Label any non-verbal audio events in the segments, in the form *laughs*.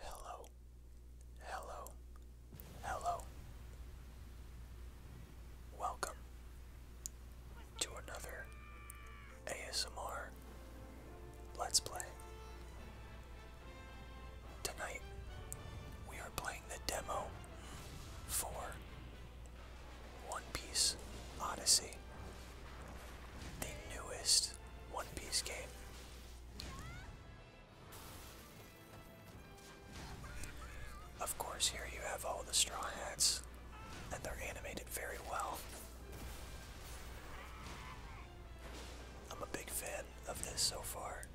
Hello, hello, hello. Welcome to another ASMR Let's Play. Tonight, we are playing the demo for One Piece Odyssey, the newest one Piece game. Of course, here you have all the Straw Hats, and they're animated very well. I'm a big fan of this so far.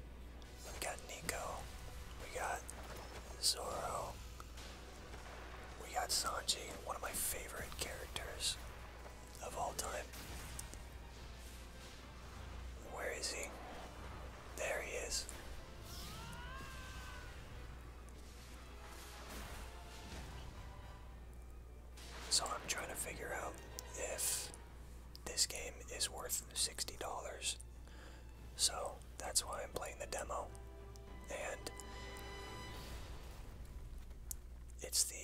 We've got Nico, we got Zoro, we got Sanji, one of my favorite characters of all time. Where is he? There he is. So I'm trying to figure out if this game is worth $60. So that's why I'm playing the demo. And it's the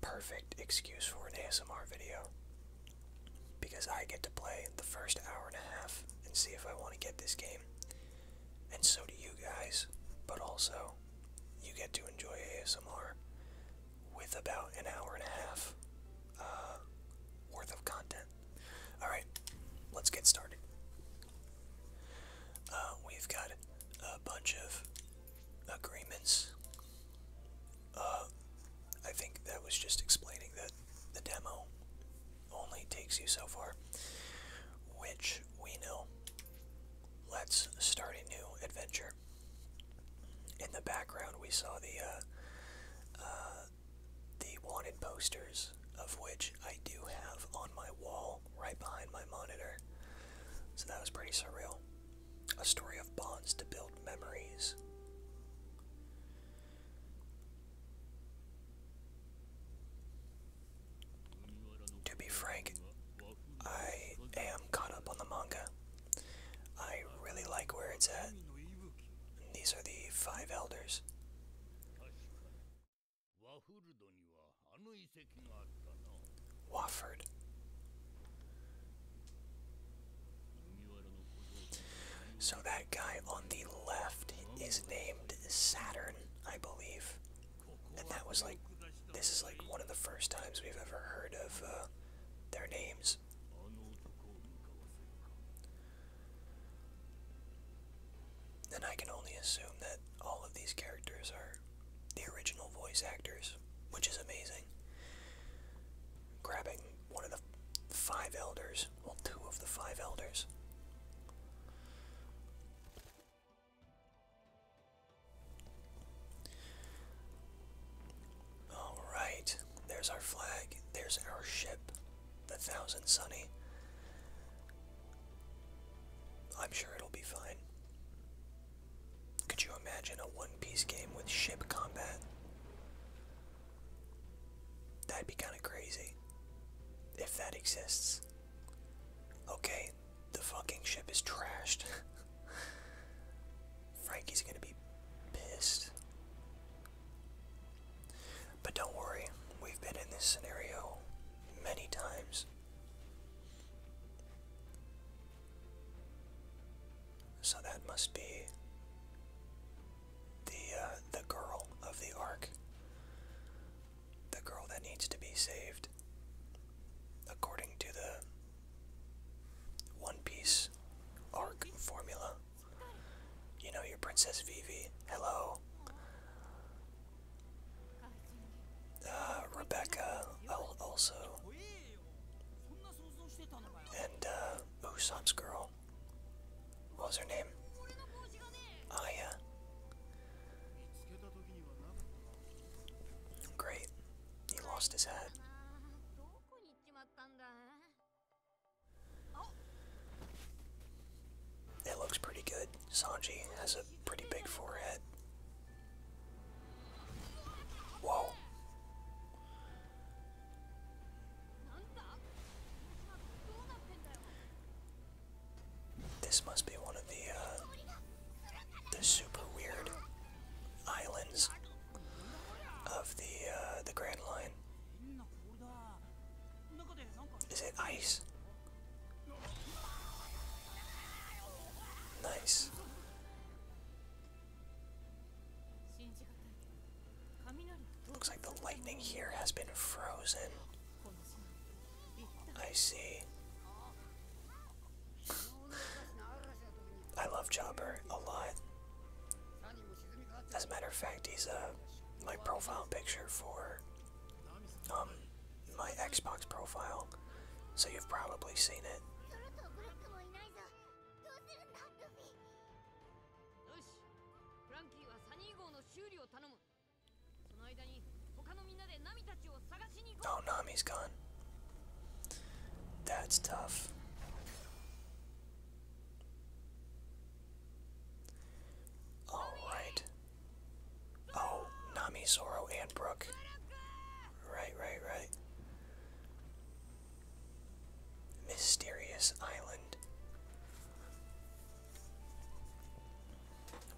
perfect excuse for an ASMR video because I get to play the first hour and a half and see if I want to get this game. And so do you guys, but also you get to enjoy ASMR with about an hour and a half uh, worth of content. Alright, let's get started. Uh, we've got a bunch of agreements. Uh, I think that was just explaining that the demo only takes you so far, which we know. Let's start a new adventure. In the background, we saw the uh, uh, the wanted posters, of which I do have on my wall right behind my monitor. So that was pretty surreal. A story of bonds to build memories. To be frank, I am caught up on the manga. I really like where it's at. These are the five elders. Wofford. So that guy on the left is named Saturn, I believe. And that was like, this is like one of the first times we've ever heard of uh, their names. And I can only assume that all of these characters are the original voice actors, which is amazing. Grabbing one of the five elders, well, two of the five elders. Alright, there's our flag, there's our ship, the Thousand Sunny. I'm sure it'll be fine. Could you imagine a One Piece game with ship combat? That'd be kind of crazy. If that exists. Okay, the fucking ship is trashed. *laughs* Frankie's gonna be pissed. But don't worry, we've been in this scenario many times. So that must be the uh, the girl of the arc, the girl that needs to be saved, according to the One Piece arc formula. You know your Princess Vivi. Hello. Uh, Rebecca also. And, uh, Usopp's girl. What was her name? Aya. Great. He lost his head. It looks pretty good. Sanji has a pretty big forehead. Whoa. This must be one of the uh, the super weird islands of the uh, the Grand Line. Is it ice? Nice. Looks like the lightning here has been frozen. I see. I love Jobber a lot. As a matter of fact, he's uh, my profile picture for um, my Xbox profile, so you've probably seen it. Oh, Nami's gone. That's tough. Alright. Oh, Nami, Zoro, and Brooke. Right, right, right. Mysterious Island.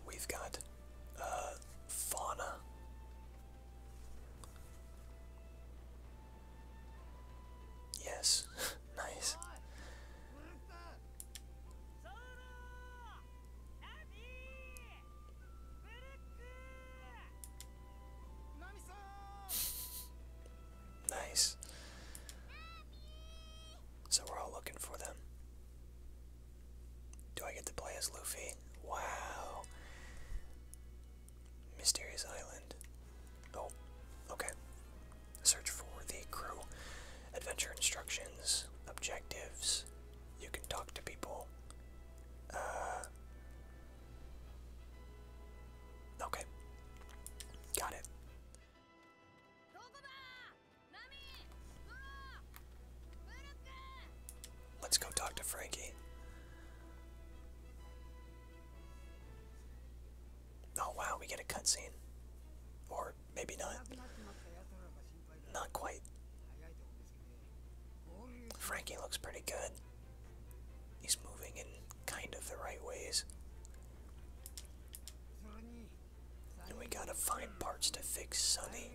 We've got uh, fauna. Yes, *laughs* nice. Nice. So we're all looking for them. Do I get to play as Luffy? Wow. Mysterious Island. Oh, okay. Search for the crew. Adventure instructions, objectives. You can talk to people. Uh, okay. Got it. Let's go talk to Frankie. Oh wow, we get a cutscene. Or maybe not. Not quite. Frankie looks pretty good. He's moving in kind of the right ways. And we gotta find parts to fix Sunny.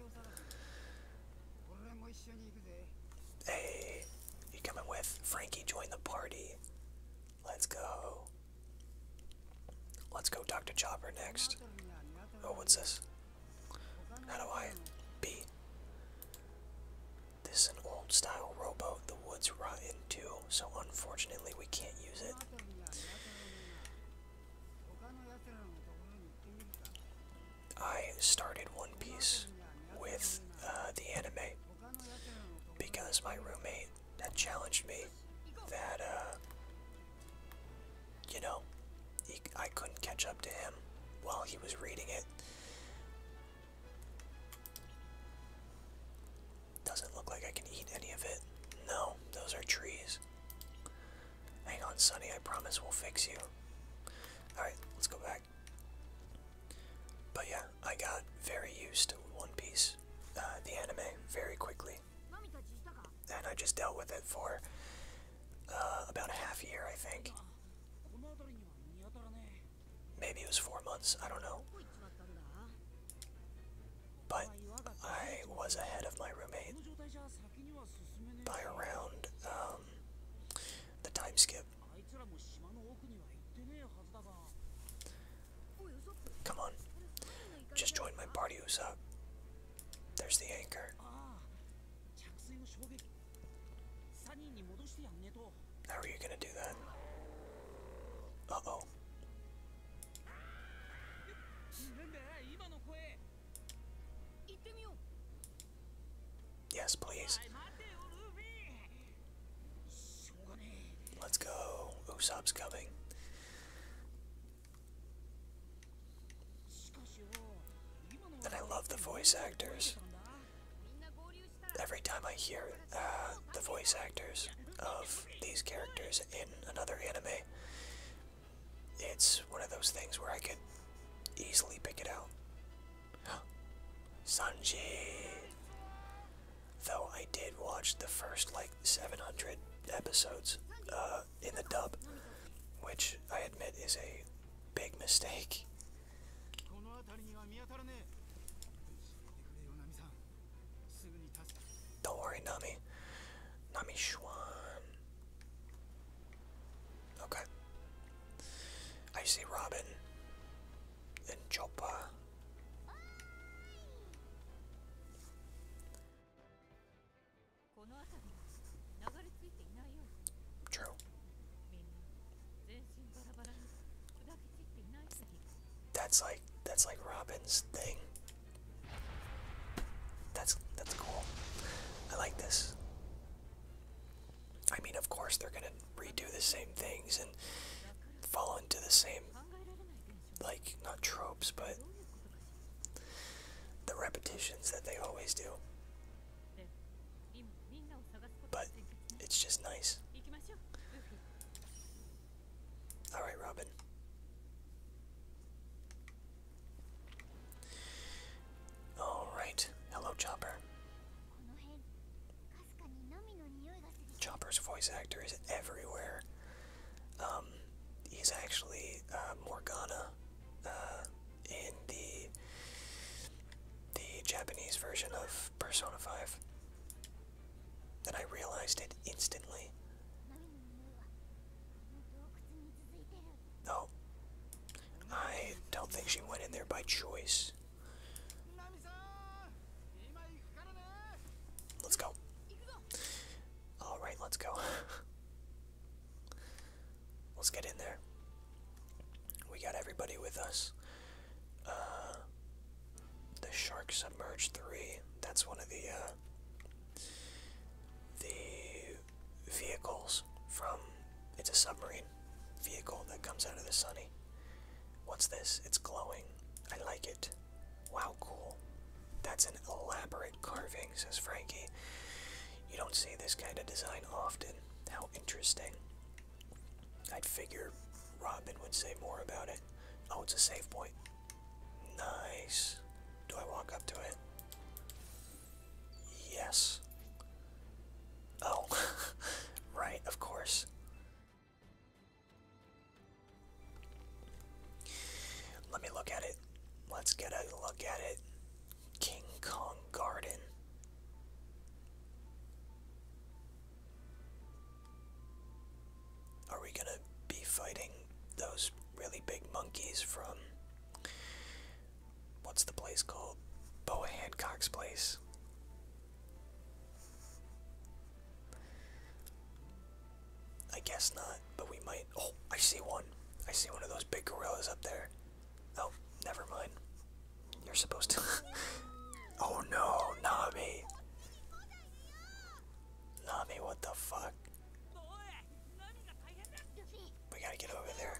Hey, you coming with? Frankie, join the party. Let's go. Let's go talk to Chopper next. Oh, what's this? How do I be? This is an old style rowboat the woods rot into, so unfortunately we can't use it. I started One Piece with uh, the anime because my roommate had challenged me that uh, you know, I couldn't catch up to him while he was reading it. Doesn't look like I can eat any of it. No, those are trees. Hang on, Sonny, I promise we'll fix you. Alright, let's go back. But yeah, I got very used to One Piece, uh, the anime, very quickly. And I just dealt with it for uh, about a half year, I think. Maybe it was four months, I don't know. But I was ahead of my roommate by around um, the time skip. Come on. Just join my party, Usopp. There's the anchor. How are you gonna do that? oh. Yes, please. Let's go. Usopp's coming. And I love the voice actors. Every time I hear uh, the voice actors of these characters in another anime, it's one of those things where I could easily pick it out. *gasps* Sanji! Though I did watch the first, like, 700 episodes uh, in the dub, which I admit is a big mistake. Don't worry, Nami. Nami Schwan. Okay. I see Robin and Choppa. True. That's like that's like Robin's thing. That's that's cool. I like this. I mean, of course they're gonna redo the same things and fall into the same like not tropes, but the repetitions that they always do. But it's just nice. Alright, Robin. Alright. Hello, Chopper. Chopper's voice actor is everywhere. Um, he's actually uh, Morgana. Uh, in the the Japanese version of Persona 5. then I realized it instantly. No. I don't think she went in there by choice. Let's go. Alright, let's go. *laughs* Let's get in there. We got everybody with us. Uh, the Shark Submerge 3. That's one of the uh, the vehicles from. It's a submarine vehicle that comes out of the sunny. What's this? It's glowing. I like it. Wow, cool. That's an elaborate carving, says Frankie. You don't see this kind of design often. How interesting. I'd figure Robin would say more about it. Oh, it's a save point. Nice. Do I walk up to it? Yes. Oh, *laughs* right, of course. Let me look at it. Let's get a look at it. King Kong Garden. Are we gonna be fighting those really big monkeys from what's the place called? Boa Hancock's place. I guess not, but we might. Oh, I see one. I see one of those big gorillas up there. Oh, never mind. You're supposed to. *laughs* oh no, Nami! Nami, what the fuck? We gotta get over there.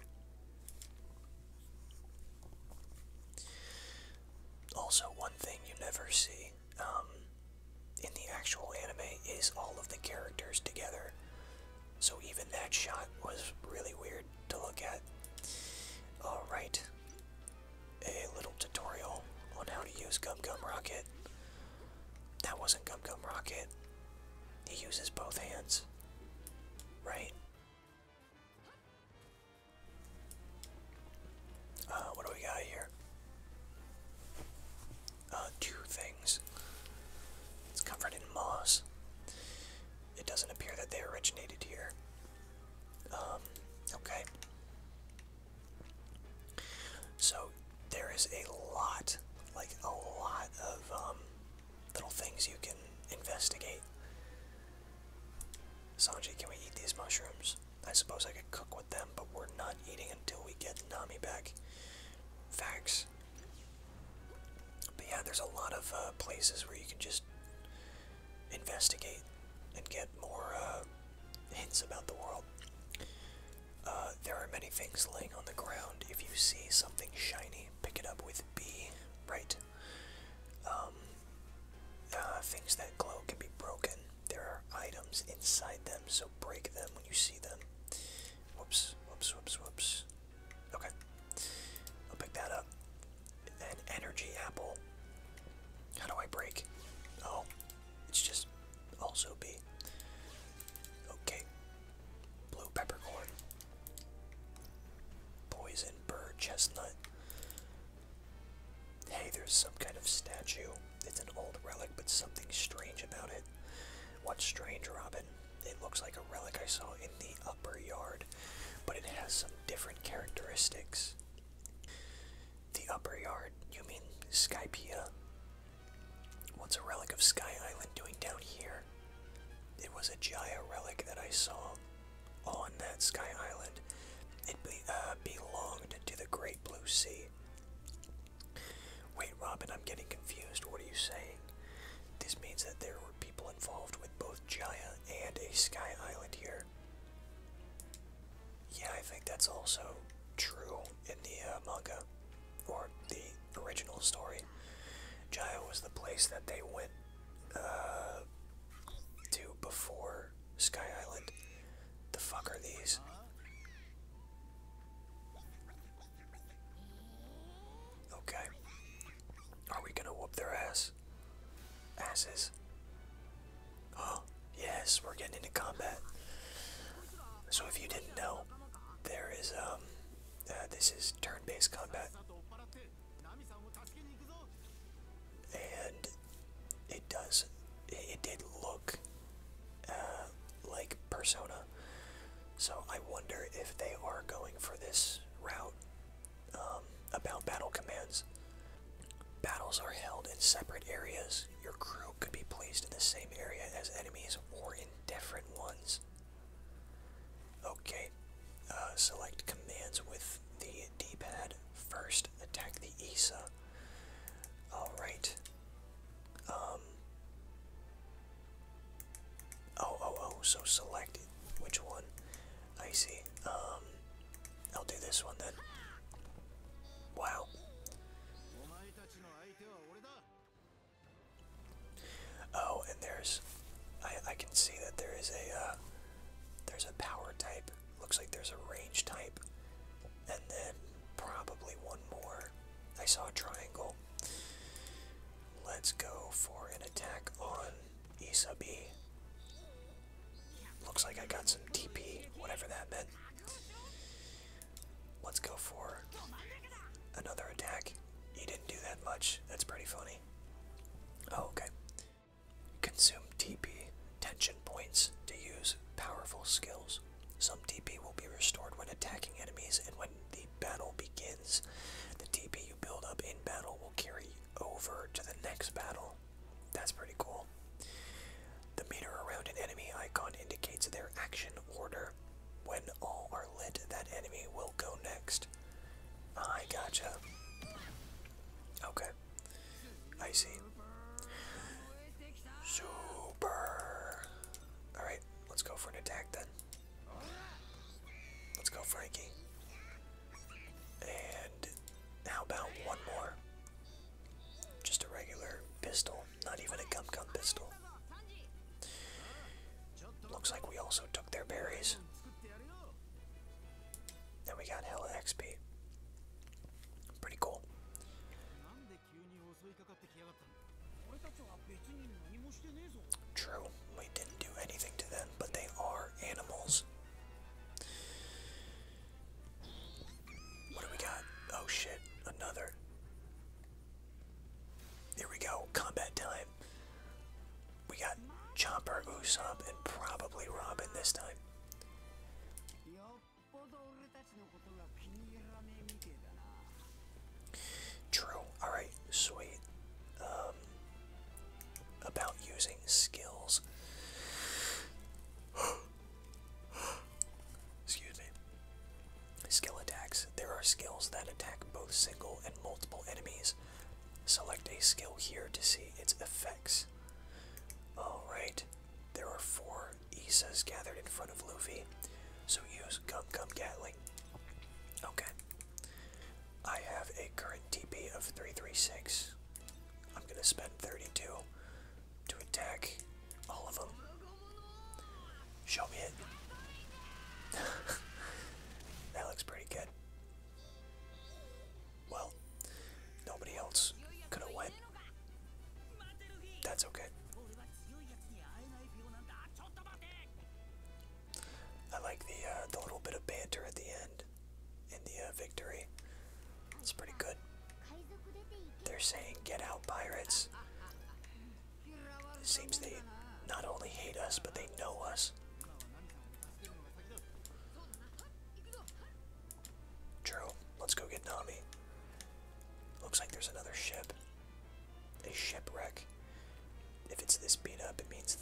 Also, one thing you never see um, in the actual anime is all of the characters together. So even that shot was really weird to look at. Alright. A little tutorial on how to use Gum Gum Rocket. That wasn't Gum Gum Rocket. He uses both hands. Right? Uh, what do we got here? Uh, two things. It's covered in moss. It doesn't appear that they originated here. Um, okay. So there is a lot, like a lot of um, little things you can investigate. Sanji, can we eat these mushrooms? I suppose I could cook with them, but we're not eating until we get Nami back. Facts. But yeah, there's a lot of uh, places where you can just investigate and get more uh, hints about the world. Uh, there are many things laying on the ground. If you see something shiny, pick it up with B, right? Um, things that glow can be broken. There are items inside them, so break them when you see them. Whoops, whoops, whoops, whoops. Okay, I'll pick that up. And energy apple. How do I break? Oh, it's just also be Okay, blue peppercorn. Poison bird chestnut. Hey, there's some kind of statue. It's an old relic, but something strange about it. What's strange, Robin? it looks like a relic I saw in the upper yard, but it has some different characteristics. The upper yard, you mean Skypea? What's a relic of Sky Island doing down here? It was a Jaya relic that I saw on that Sky Island. It uh, belonged to the Great Blue Sea. Wait, Robin, I'm getting confused. What are you saying? This means that there were people involved with both Jaya and a Sky Island here. Yeah, I think that's also true in the uh, manga, or the original story. Jaya was the place that they went uh, to before Sky Island. The fuck are these? Okay. Are we gonna whoop their ass? Asses. Oh, yes, we're getting into combat. So if you didn't know, there is, um, uh, this is turn-based combat. And it does, it, did look, uh, like Persona. So I wonder if they are going for this route um, about battle commands. Battles are held in separate areas. Your crew could be placed in the same area as enemies or indifferent ones. Okay, uh, select commands with the D-pad. First, attack the ISA. Alright. Um, Oh, oh, oh, so select which one. I see. Um, I'll do this one then. Wow. Oh, and there's, I, I can see that there is a, uh, there's a power type. Looks like there's a range type. And then probably one more. I saw a triangle. Let's go for an attack on Issa Looks like I got some TP, whatever that meant. Let's go for another attack. He didn't do that much. That's pretty funny. Oh, okay. Consume TP tension points to use powerful skills. Some TP will be restored when attacking enemies and when the battle begins. The TP you build up in battle will carry over to the next battle. That's pretty cool. The meter around an enemy icon indicates their action order. When all are lit, that enemy will go next. I gotcha. Okay. I see. Super! Alright, let's go for an attack then. Let's go, Frankie. And how about one more? Just a regular pistol, not even a gum gum pistol. Looks like we also took their berries. And we got hella XP. Pretty cool. True, we didn't do anything to them, but they are animals. What do we got? Oh shit, another. There we go, combat time. We got Chomper, Usopp, and probably Robin this time. True. Alright, sweet. Um, about using skills. *gasps* Excuse me. Skill attacks. There are skills that attack both single and multiple enemies. Select a skill here to see its effects. Alright. There are four Isas gathered in front of Luffy. So use Gum Gum Gatling. Okay. I have a current TP of 336. I'm going to spend 32 to attack all of them. Show me it. *laughs* that looks pretty good. Well, nobody else could have went. That's okay. I like the uh, the little bit of banter at the end and the uh, victory. It's pretty good. They're saying "Get out, pirates." It seems they not only hate us, but they know us. True. Let's go get Nami. Looks like there's another ship. A shipwreck. If it's this beat up, it means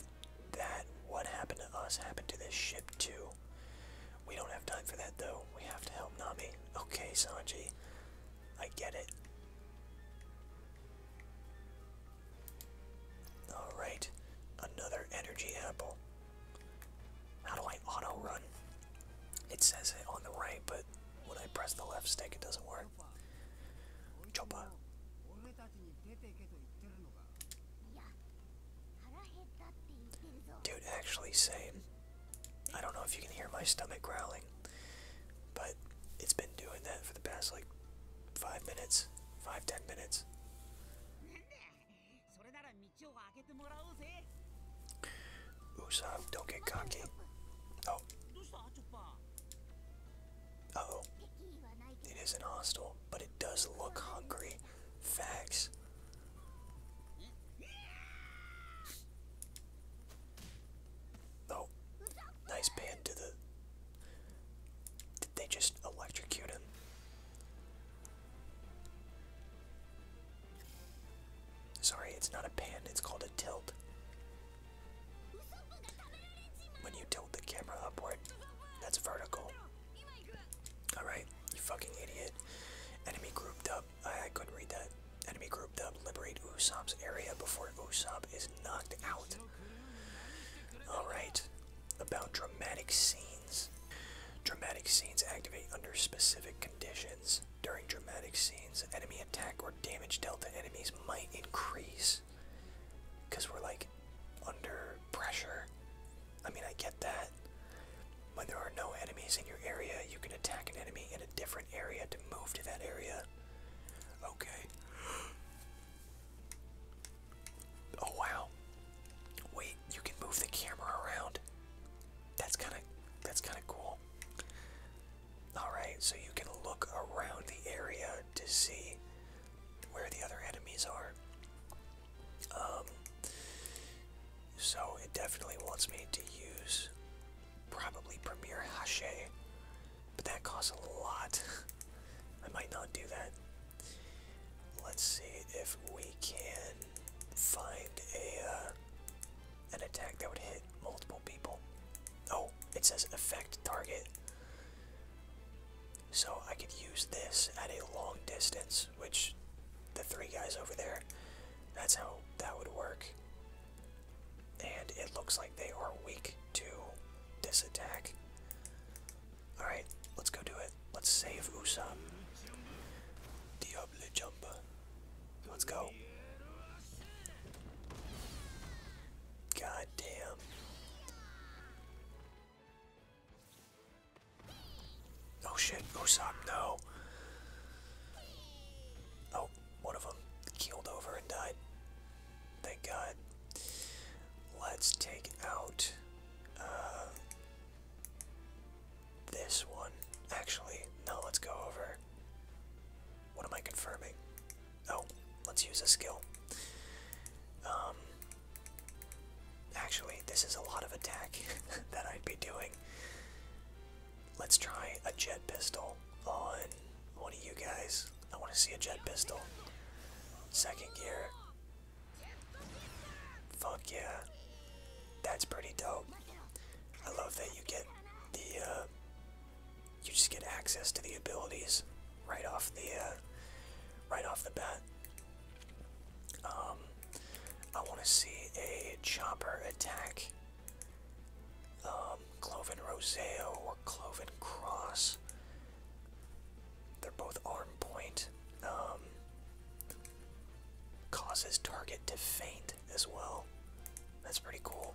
that what happened to us happened to this ship too. We don't have time for that though. We have to help Nami. Okay, Sanji. I get it. Alright. Another energy apple. How do I auto run? It says it on the right, but when I press the left stick, it doesn't work. Choppa. Dude, actually, same. I don't know if you can hear my stomach growling, but it's been doing that for the past like five minutes, five, ten minutes. Usopp, don't get cocky. Oh oh It isn't hostile, but it does look hungry. Facts. Oh. Nice pan to the... Did they just electrocute him? Sorry, it's not a pan, it's called a tilt. When you tilt the camera upward, that's vertical. Alright, you fucking idiot. Enemy grouped up. I, couldn't read that. Enemy grouped up. Liberate Usopp's area before Usopp is knocked out. Alright, about dramatic scenes. Dramatic scenes activate under specific conditions. During dramatic scenes, enemy attack or damage dealt to enemies might increase because we're like under pressure. I mean, I get that. When there are no enemies in your area, you can attack an enemy in a different area to move to that area. Okay. Oh wow. Wait, you can move the camera around. That's kind of that's kind of cool. All right, so you can look around the area to see where the other enemies are. Um, so it definitely wants me to use probably Premier Hache, but that costs a lot. *laughs* I might not do that. Let's see if we can find a uh, an attack that would hit multiple people. Oh, it says effect target. So I could use this at a long distance, which the three guys over there, that's how that would work. And it looks like they are weak to this attack. Alright, let's go do it. Let's save Usam. Diable Jumba. Let's go. God Oh shit, Osam, no. Oh, one of them keeled over and died. Thank God. Let's take out uh, this one. Actually, no, let's go over. What am I confirming? Oh, let's use a skill. Um, actually, this is a lot of attack *laughs* that I'd be doing. Let's try a jet pistol on one of you guys. I want to see a jet pistol. Second gear. Fuck yeah. That's pretty dope. I love that you get the uh, you just get access to the abilities right off the uh, right off the bat. Um, I want to see a chopper attack. Um, Cloven Roseo or Cloven Cross. They're both arm point. Um, causes target to faint as well. That's pretty cool.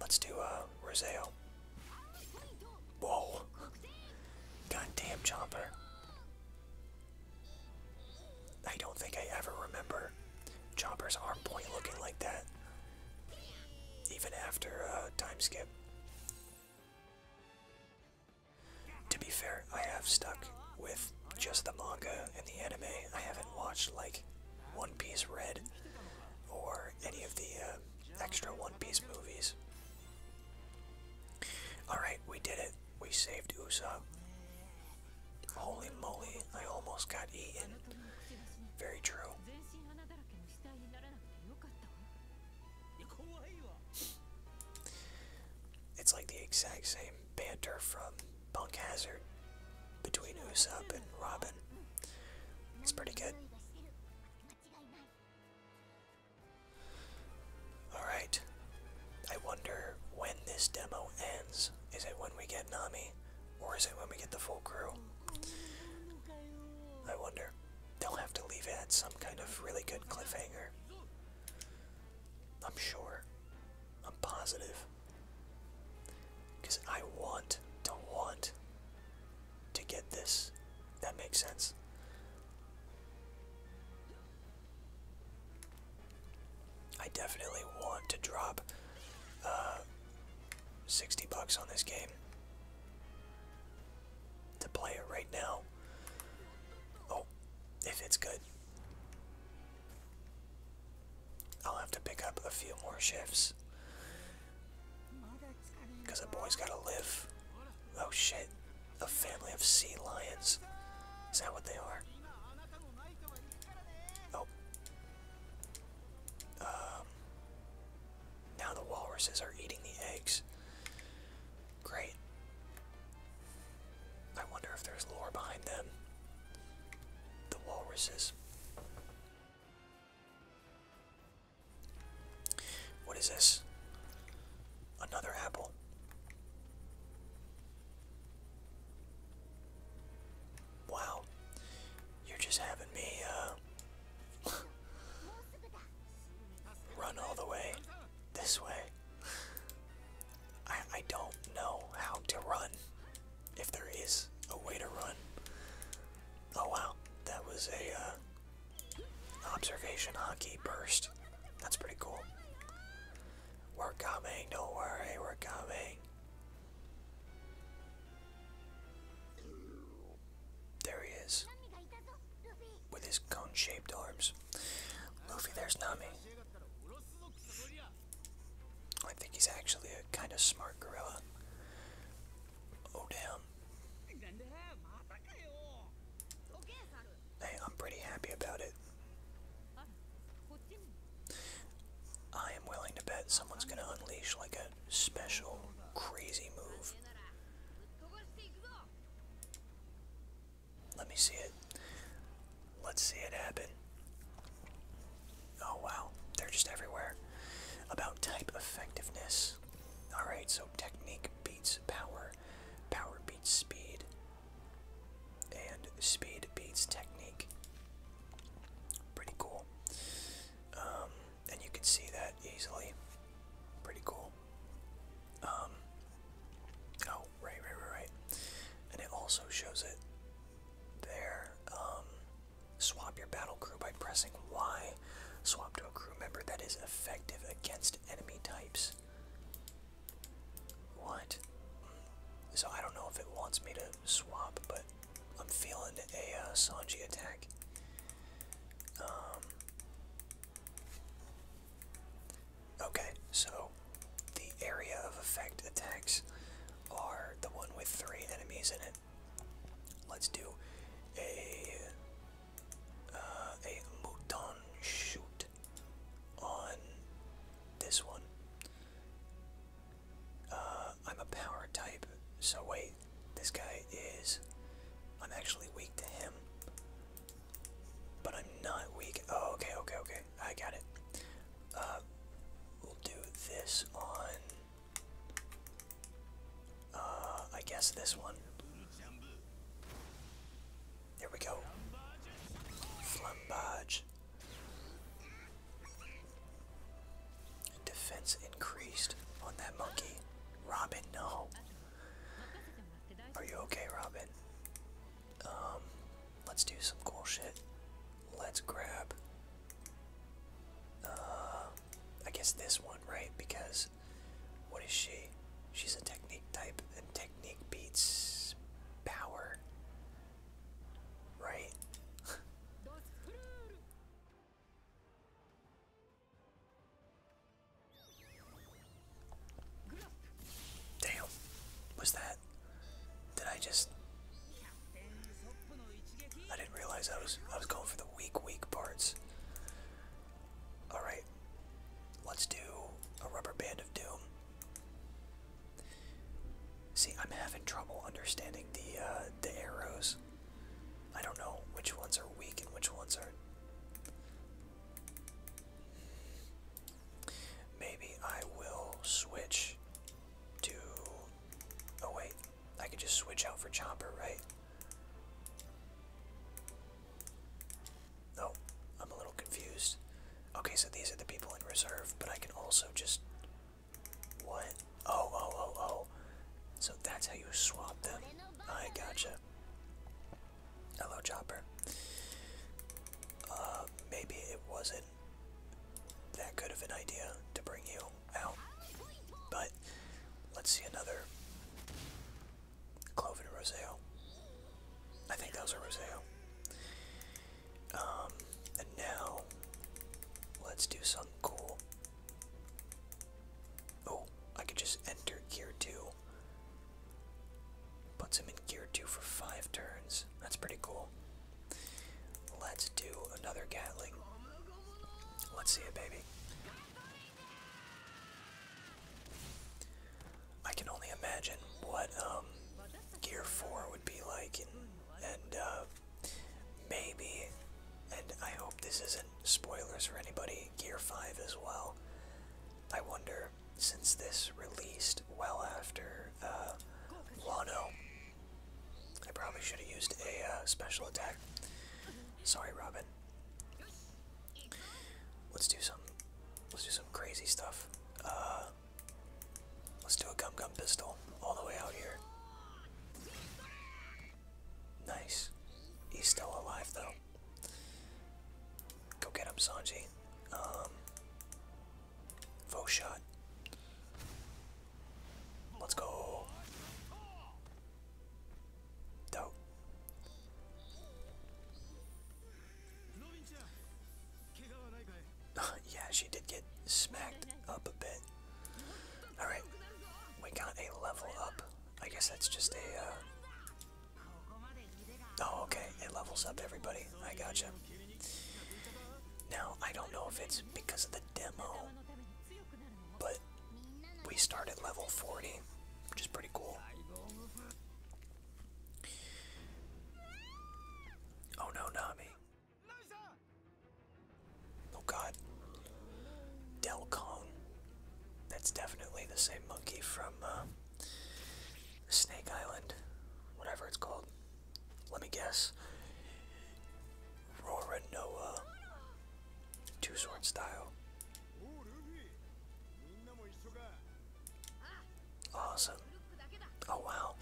Let's do uh Roseo. Whoa. Goddamn Chomper. I don't think I ever remember Chomper's arm point looking like that. Even after uh time skip. To be fair, I have stuck with just the manga and the anime. I haven't watched like One Piece Red or any of the uh, extra One Piece movies. Alright, we did it. We saved Usopp. Holy moly, I almost got eaten. Very true. It's like the exact same banter from Punk Hazard between Usopp and Robin. It's pretty good. *sighs* Alright. I wonder when this demo ends. Is it when we get Nami? Or is it when we get the full crew? I wonder. They'll have to leave at some kind of really good cliffhanger. I'm sure. I'm positive. Because I want to want to get this. That makes sense. I definitely want to drop uh, 60 bucks on this game to play it right now. Oh, if it's good. I'll have to pick up a few more shifts. Because a boy's gotta live. Oh shit. A family of sea lions. Is that what they are? Oh. Um. Now the walruses are eating the eggs. Great. I wonder if there's lore behind them. The walruses. What is this? Another apple. Wow. You're just having me, uh. *laughs* run all the way this way. I, I don't know how to run. If there is a way to run. Oh wow. That was a, uh. Observation hockey burst. That's pretty cool. We're coming, do worry, we're coming. There he is. With his cone shaped arms. Luffy, there's Nami. I think he's actually a kind of smart gorilla. Oh, damn. Hey, I'm pretty happy about it. I am willing to bet someone's gonna unleash like a special crazy move. Let me see it. Let's see it happen. Oh wow, they're just everywhere. About type effectiveness. Alright, so technique beats power, power beats speed, and speed beats technique. Pretty cool. Um, and you can see that easily. Pretty cool. Um, oh, right, right, right, right. And it also shows it there. Um, Swap your battle crew by pressing Y. Swap to a crew member that is effective against enemy types. What? So I don't know if it wants me to swap, but I'm feeling a uh, Sanji attack. Um, okay, so the area of effect attacks are the one with three enemies in it. Let's do a uh, a mouton shoot on this one. Uh, I'm a power type, so wait, this guy is. I'm actually weak to him, but I'm not weak. Oh, okay, okay, okay. I got it. Uh, we'll do this on. Uh, I guess this one. There we go. Flambage. Defense increased on that monkey. Robin, no. Are you okay, Robin? Um, let's do some cool shit. Let's grab. Uh, I guess this one, right? Because what is she? She's a technique type, and technique beats power, right? Damn, was that? Did I just? I didn't realize I was I was going for the weak, weak parts. Alright, let's do a rubber band of doom. See, I'm having trouble understanding the uh, the arrows. I don't know which ones are weak and which ones are. Maybe I will switch to. Oh wait, I could just switch out for Chopper, right? No, I'm a little confused. Okay, so these are the people in reserve, but I can also just... What? Oh, oh, oh, oh. So that's how you swap them. I gotcha. Hello, Chopper. Uh, maybe it wasn't that good of an idea to bring you. Ow. But let's see another Cloven Roseo. I think that was a Roseo. Um, and now let's do something cool. Oh, I could just enter gear two. Puts him in gear two for five turns. That's pretty cool. Let's do another Gatling. Let's see it, baby. I can only imagine what um, Gear 4 would be like, and, uh, maybe, and I hope this isn't spoilers for anybody, Gear 5 as well. I wonder, since this released well after uh, I probably should have used a uh, special attack. Sorry, Robin let's do some let's do some crazy stuff. Uh, let's do a gum gum pistol all the way out here. Nice. He's still alive though. Go get him, Sanji. Um shot. Let's go. Dope. *laughs* yeah, she did get smacked up a bit. Alright, we got a level up. I guess that's just a, uh... Oh, okay, it levels up everybody. I gotcha. Now, I don't know if it's because of the demo but we start at level 40, which is pretty cool. Oh no, Nami. Oh god. Delcon. That's definitely the same monkey from uh, Snake Island. Whatever it's called. Let me guess. Rora Noah. Two sword style. Awesome. Oh wow.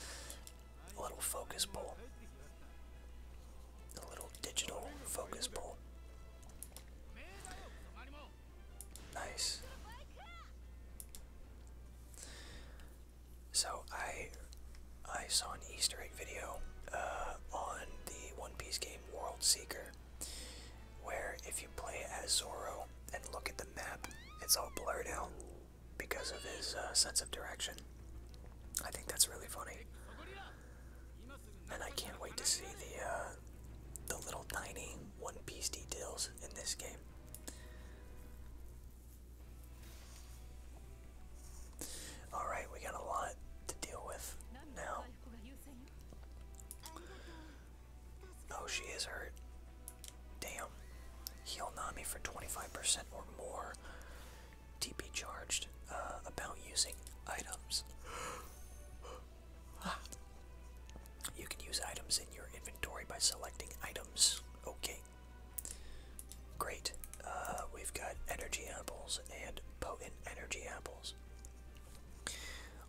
A little focus bowl. A little digital focus bowl. Nice. So I I saw an Easter egg video uh, on the One Piece game World Seeker where if you play as Zoro and look at the map, it's all blurred out because of his uh, sense of direction. I think that's really funny, and I can't wait to see the uh, the little tiny One Piece details in this game. Alright, we got a lot to deal with now. Oh, she is hurt. Damn. Heal Nami for 25% or more. TP charged. Uh, about using items. *gasps* You can use items in your inventory by selecting items. Okay. Great. Uh, we've got energy apples and potent energy apples.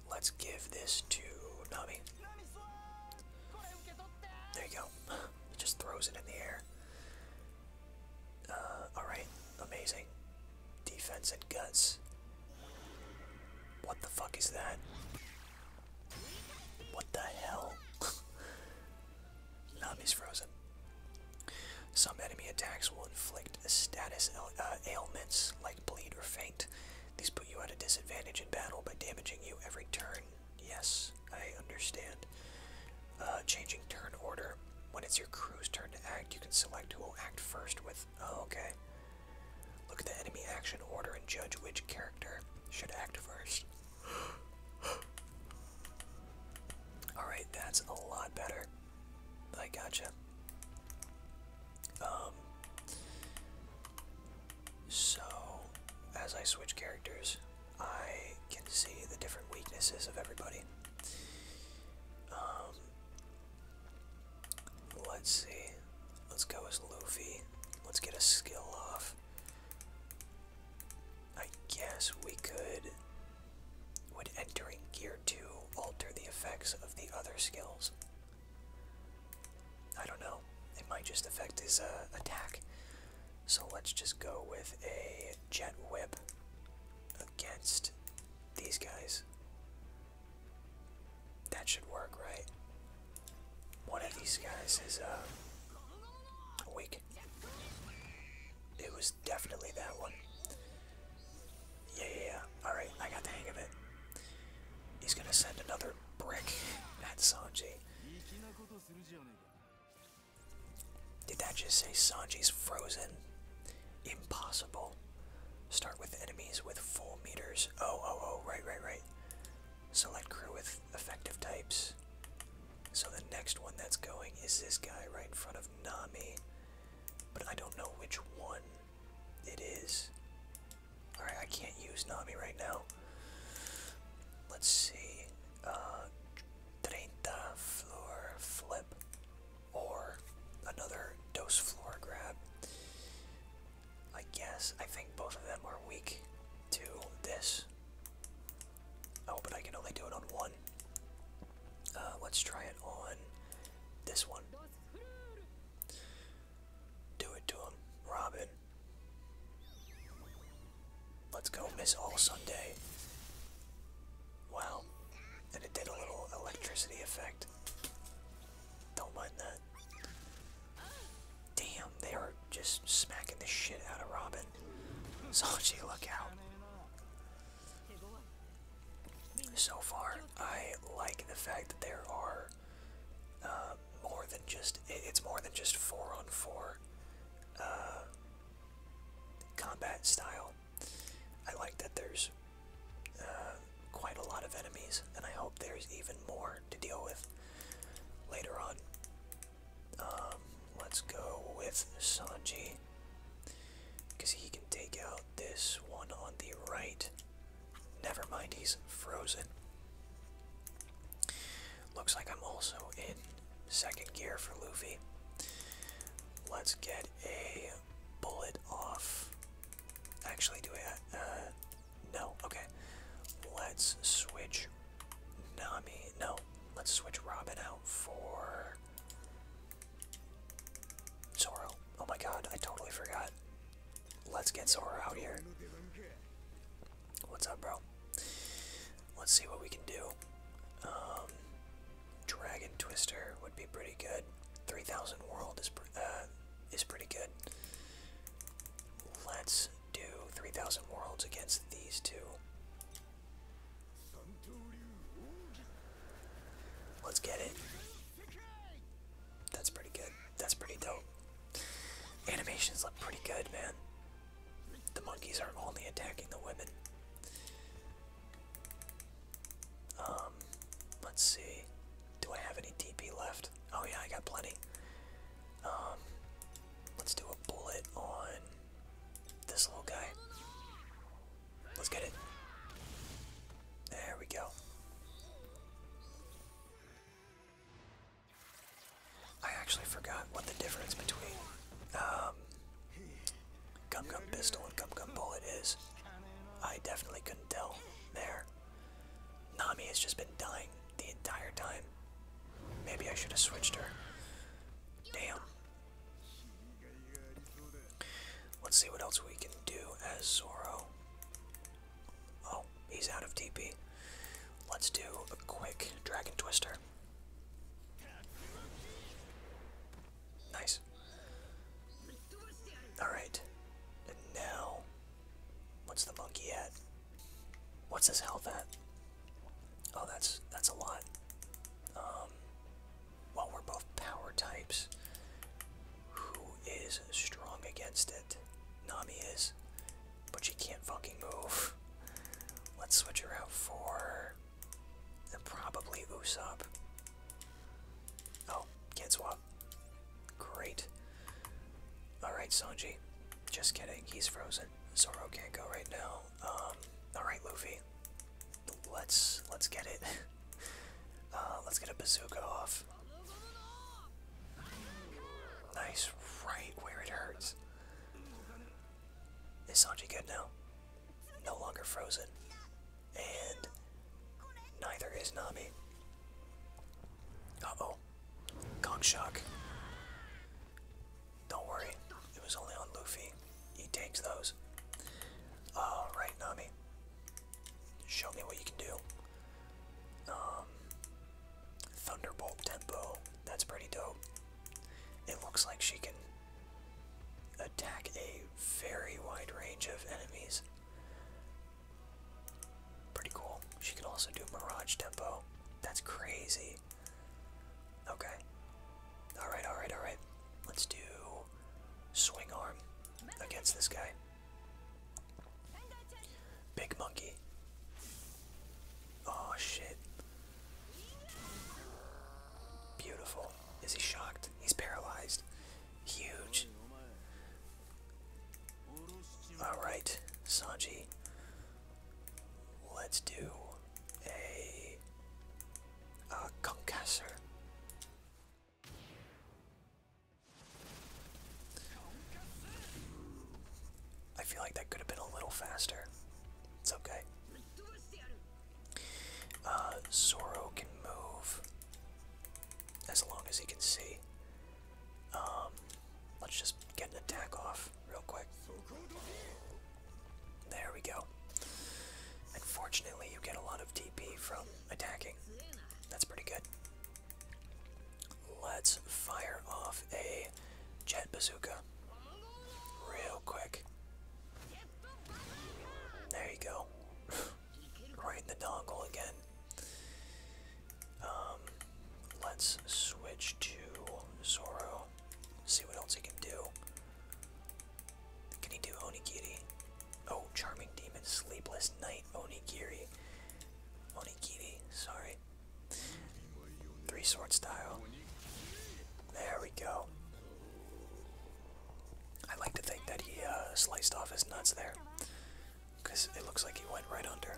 Let's give this to Nami. There you go. It just throws it in the air. Uh, Alright, amazing. Defense and guts. What the fuck is that? What the hell? *laughs* Nami's frozen. Some enemy attacks will inflict status uh, ailments like bleed or faint. These put you at a disadvantage in battle by damaging you every turn. Yes, I understand. Uh, changing turn order. When it's your crew's turn to act, you can select who will act first with. Oh, okay. Look at the enemy action order and judge which character should act first. *gasps* Alright, that's a lot better. I gotcha. Um, so, as I switch characters, I can see the different weaknesses of everybody. Um, let's see. Let's go as Luffy. Let's get a skill off. I guess we could would entering Gear 2 alter the effects of the other skills? I don't know. It might just affect his uh, attack. So let's just go with a Jet Whip against these guys. That should work, right? One of these guys is uh, weak. It was definitely that one. Yeah, Alright, I got the hang of it. He's gonna send another brick at Sanji. Did that just say Sanji's frozen? Impossible. Start with enemies with full meters. Oh, oh, oh, right, right, right. Select crew with effective types. So the next one that's going is this guy right in front of Nami but I don't know which one it is. Alright, I can't use Nami right now. Let's see. Uh, Treinta floor flip or another dose floor grab. I guess I think both of them are weak to this. Oh, but I can only do it on one. Uh, let's try it on this one. Do it to him, Robin. Let's go, Miss All Sunday. Wow. And it did a little electricity effect. Don't mind that. Damn, they are just smacking the shit out of Robin. Sochi, *laughs* look out. So far, I like the fact that there are uh, more than just it's more than just four on four uh, combat style. I like that there's uh, quite a lot of enemies, and I hope there's even more to deal with later on. Um, let's go with Sanji. Because he can take out this one on the right. Never mind, he's frozen. Looks like I'm also in second gear for Luffy. Let's get a bullet off. Actually, do I? Uh, no. Okay. Let's switch Nami. No. Let's switch Robin out for Zoro. Oh my god, I totally forgot. Let's get Zoro out here. What's up, bro? Let's see what we can do. Um, Dragon Twister would be pretty good. 3000 World is, uh, is pretty good. Let's do 3000 Worlds against these two. Let's get it. That's pretty good. That's pretty dope. Animations look pretty good, man. The monkeys are only attacking the women. Um, let's see. Do I have any DP left? Oh yeah, I got plenty. Um, let's do a bullet on this little guy. Let's get it. There we go. I actually forgot what the difference between um, Gum Gum Pistol and Gum Gum Bullet is. I definitely couldn't tell there. Nami has just been dying the entire time. Maybe I should have switched her. Damn. Let's see what else we can do as Zoro. Oh, he's out of TP. Let's do a quick Dragon Twister. Nice. Alright. now, what's the monkey at? What's his health at? Oh, that's that's a lot. Um, well, we're both power types. Who is strong against it? Nami is, but she can't fucking move. Let's switch her out for the probably Usopp. Oh, get swap. Great. Alright, Sanji. Just kidding, he's frozen. Zoro can't go right now. Um, alright, Luffy. Let's let's get it. *laughs* Uh, let's get a bazooka off. Nice, right where it hurts. Is Sanji good now? No longer frozen. And neither is Nami. Uh-oh. Gong shock. Don't worry. It was only on Luffy. He takes those. Alright, Nami. Show me what you can do. Um, Thunderbolt Tempo. That's pretty dope. It looks like she can attack a very wide range of enemies. Pretty cool. She can also do Mirage Tempo. That's crazy. Okay. Alright, alright, alright. Let's do Swing Arm against this guy. Big monkey. Oh shit. Beautiful. Is he shocked? He's paralyzed. Huge. Alright, Sanji. Let's do a, a concussor. I feel like that could have been a little faster. It's okay. Uh, Zoro can move as long as he can see. Um, let's just get an attack off real quick. There we go. Unfortunately, you get a lot of DP from attacking. That's pretty good. Let's fire off a jet bazooka real quick. There you go. *laughs* right in the dongle again. Um, let's switch to Zoro. See what else he can do. Can he do Onigiri? Oh, Charming Demon, Sleepless Night, Onigiri. Onigiri, sorry. Three sword style. There we go. I like to think that he uh, sliced off his nuts there. Because it looks like he went right under.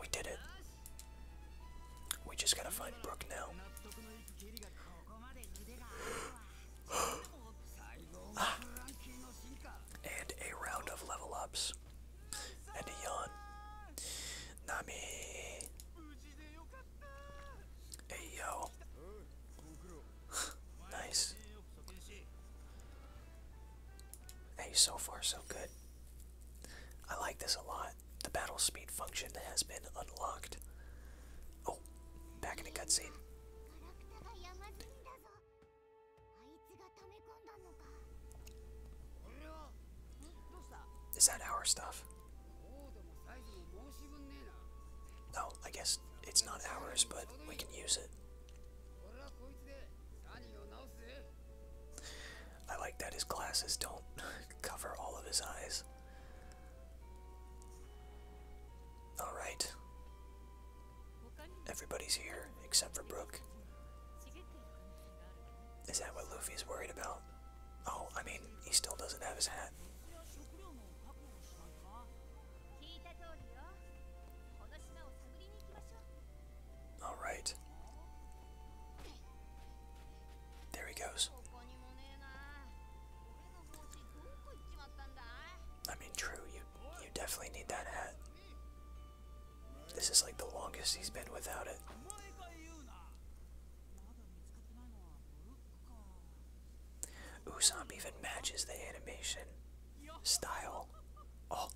We did it. We just gotta find Brook now. And a round of level ups. And a yawn. Nami. Hey yo. *laughs* nice. Hey, so far so good. I like this a lot. The battle speed function has been unlocked. Oh, back in the cutscene. Is that our stuff? No, I guess it's not ours, but we can use it. I like that his glasses don't *laughs* cover all of his eyes. Alright. Everybody's here except for Brooke. Is that what Luffy is worried about? Oh, I mean, he still doesn't have his hat. Alright. There he goes. I mean, true, you, you definitely need that hat. This is like the longest he's been without it. Usopp even matches the animation style. Oh.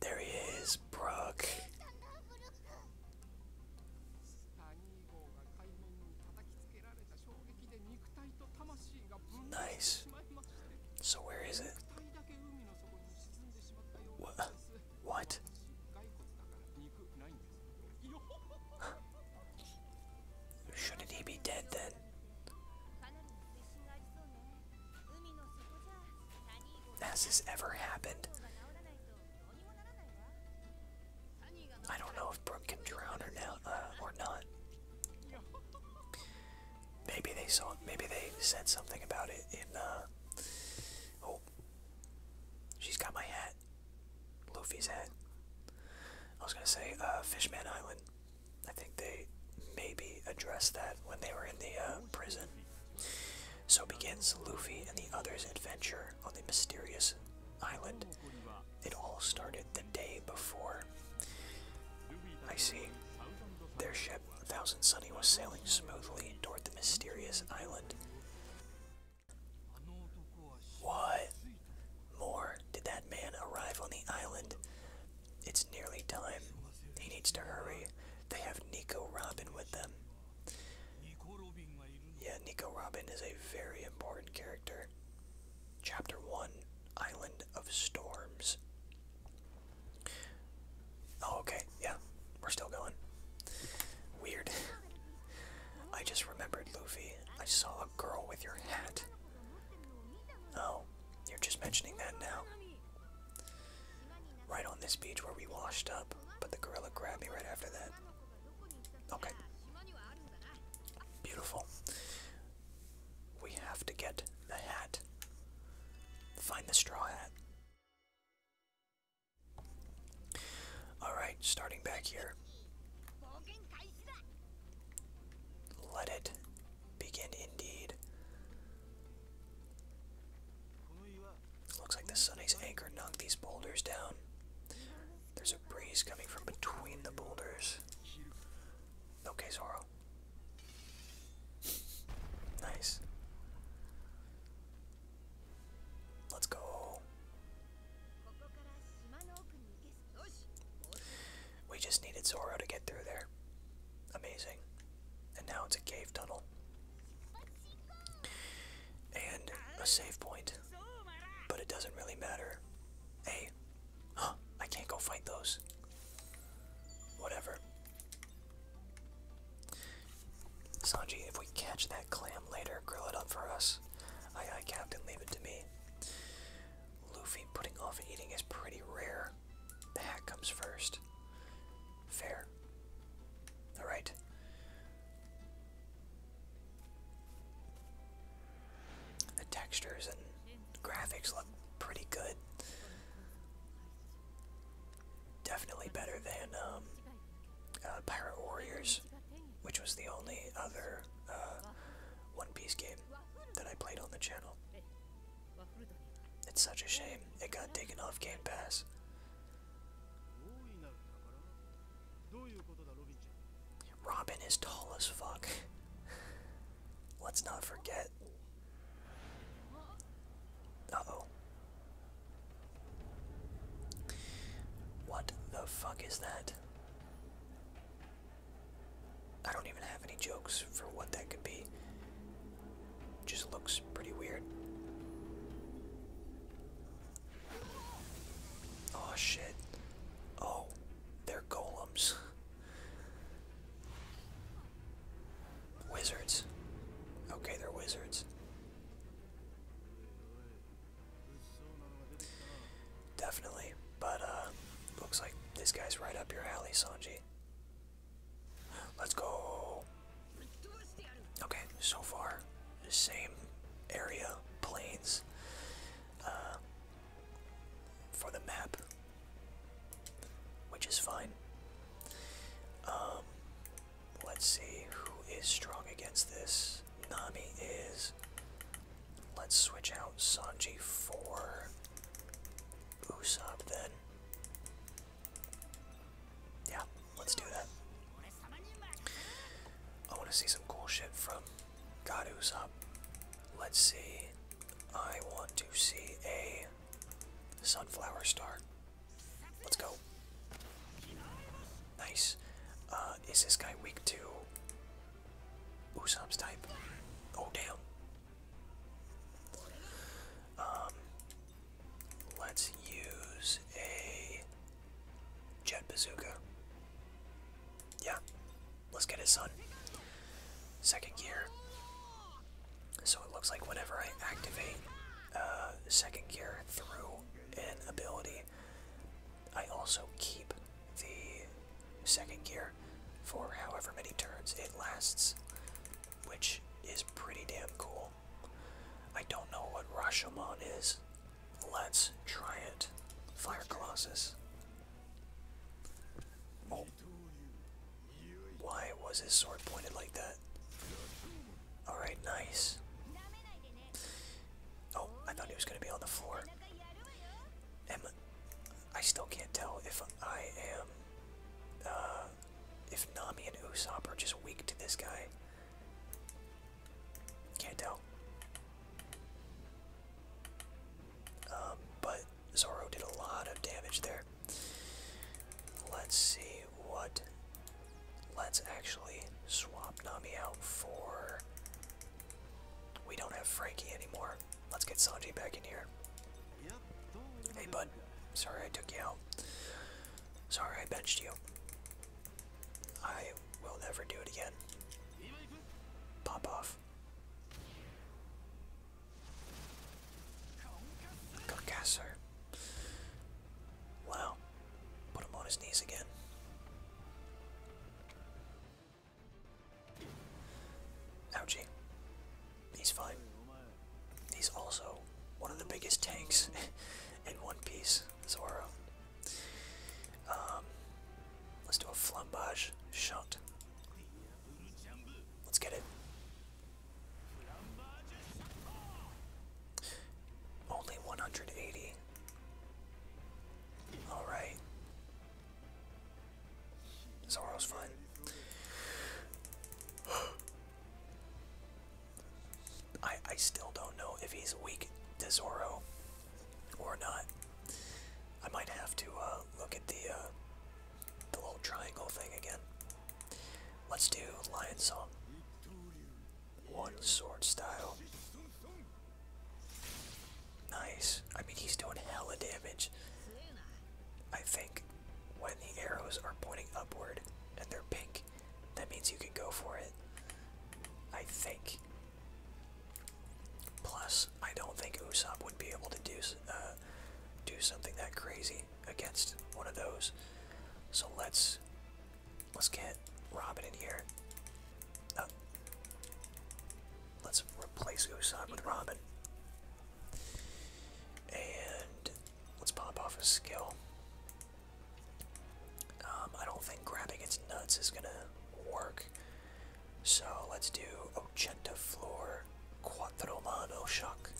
There he is, Brooke. Nice. So where is it? What? What? *laughs* Shouldn't he be dead then? Has this ever happened? I don't know if Brook can drown uh, or not. Maybe they saw. Maybe they said something about it in. Uh, oh, she's got my hat. Luffy's hat. I was gonna say uh, Fishman Island. I think they maybe addressed that when they were in the uh, prison. So begins Luffy and the others' adventure on the mysterious island. It all started the day before. I see. Their ship, Thousand Sunny, was sailing smoothly toward the mysterious island. What more did that man arrive on the island? It's nearly time. He needs to hurry. They have Nico Robin with them. Yeah, Nico Robin is a very important character. Chapter 1 Island of Storms. Oh, okay, yeah, we're still going. Weird. I just remembered, Luffy. I saw a girl with your hat. Oh, you're just mentioning that now. Right on this beach where we washed up, but the gorilla grabbed me right after that. Okay. Beautiful. We have to get the hat. Find the straw hat. Alright, starting back here. Let it begin indeed. Looks like the Sunny's anchor knocked these boulders down. There's a breeze coming from between the boulders. Okay, Zoro. Nice. Let's go. We just needed Zoro to get through there. Amazing. And now it's a cave tunnel. And a save point. But it doesn't really matter. Hey. Huh, I can't go fight those. Whatever. Sanji, if we catch that clam later, grill it up for us. Aye aye, Captain, leave it to me. Luffy putting off eating is pretty rare. The hat comes first. Fair. Alright. The textures and graphics look pretty good. Definitely better than um, uh, Pirate Warriors, which was the only other uh, One Piece game that I played on the channel. It's such a shame it got taken off Game Pass. Robin is tall as fuck. Let's not forget. Uh-oh. What the fuck is that? I don't even have any jokes for what that could be. Just looks pretty weird. Oh shit. Oh, they're golems. Wizards. Okay, they're wizards. Definitely, but uh, looks like this guy's right up your alley, Sanji. Let's go. Okay, so far, same area, plains, uh, for the map, which is fine. Um, let's see who is strong against this. Nami is. Let's switch out Sanji for Usopp then. Yeah, Let's do that. I want to see some cool shit from God up. Let's see. I want to see a sunflower star. Let's go. Nice. Uh, is this guy weak to Usopp's type? Oh, damn. Um, let's use a Jet Bazooka. Yeah. Let's get his son. Second gear. So it looks like whenever I activate uh, second gear through an ability, I also keep the second gear for however many turns it lasts, which is pretty damn cool. I don't know what Rashomon is. Let's try it. Fire Colossus. Oh. Why was his sword pointed like that? Alright, nice. Oh, I thought he was going to be on the floor. I still can't tell if I am. Uh, if Nami and Usopp are just weak to this guy. Can't tell. Um, but Zoro did a lot of damage there. Let's see what. Let's actually swap Nami out for. We don't have Frankie anymore. Let's get Sanji back in here. Hey, bud. Sorry I took you out. Sorry I benched you. I will never do it again. Pop off. Carcasser. Wow. Put him on his knees again. Ouchie. He's fine. He's also one of the biggest tanks *laughs* in One Piece, Zoro. Um, let's do a flambage shot. Let's get it. Only 180. Alright. Zoro's fine. I, still don't know if he's weak to Zoro or not. I might have to uh, look at the uh, the little triangle thing again. Let's do Lion Song. One sword style. Nice. I mean, he's doing hella damage. I think when the arrows are pointing upward and they're pink, that means you can go for it. I think. Plus, I don't think Usopp would be able to do uh, do something that crazy against one of those. So let's let's get Robin in here. Uh, let's replace Usopp with Robin, and let's pop off his skill. Um, I don't think grabbing its nuts is gonna work. So let's do Ochenta Floor Quattro Mano Shock.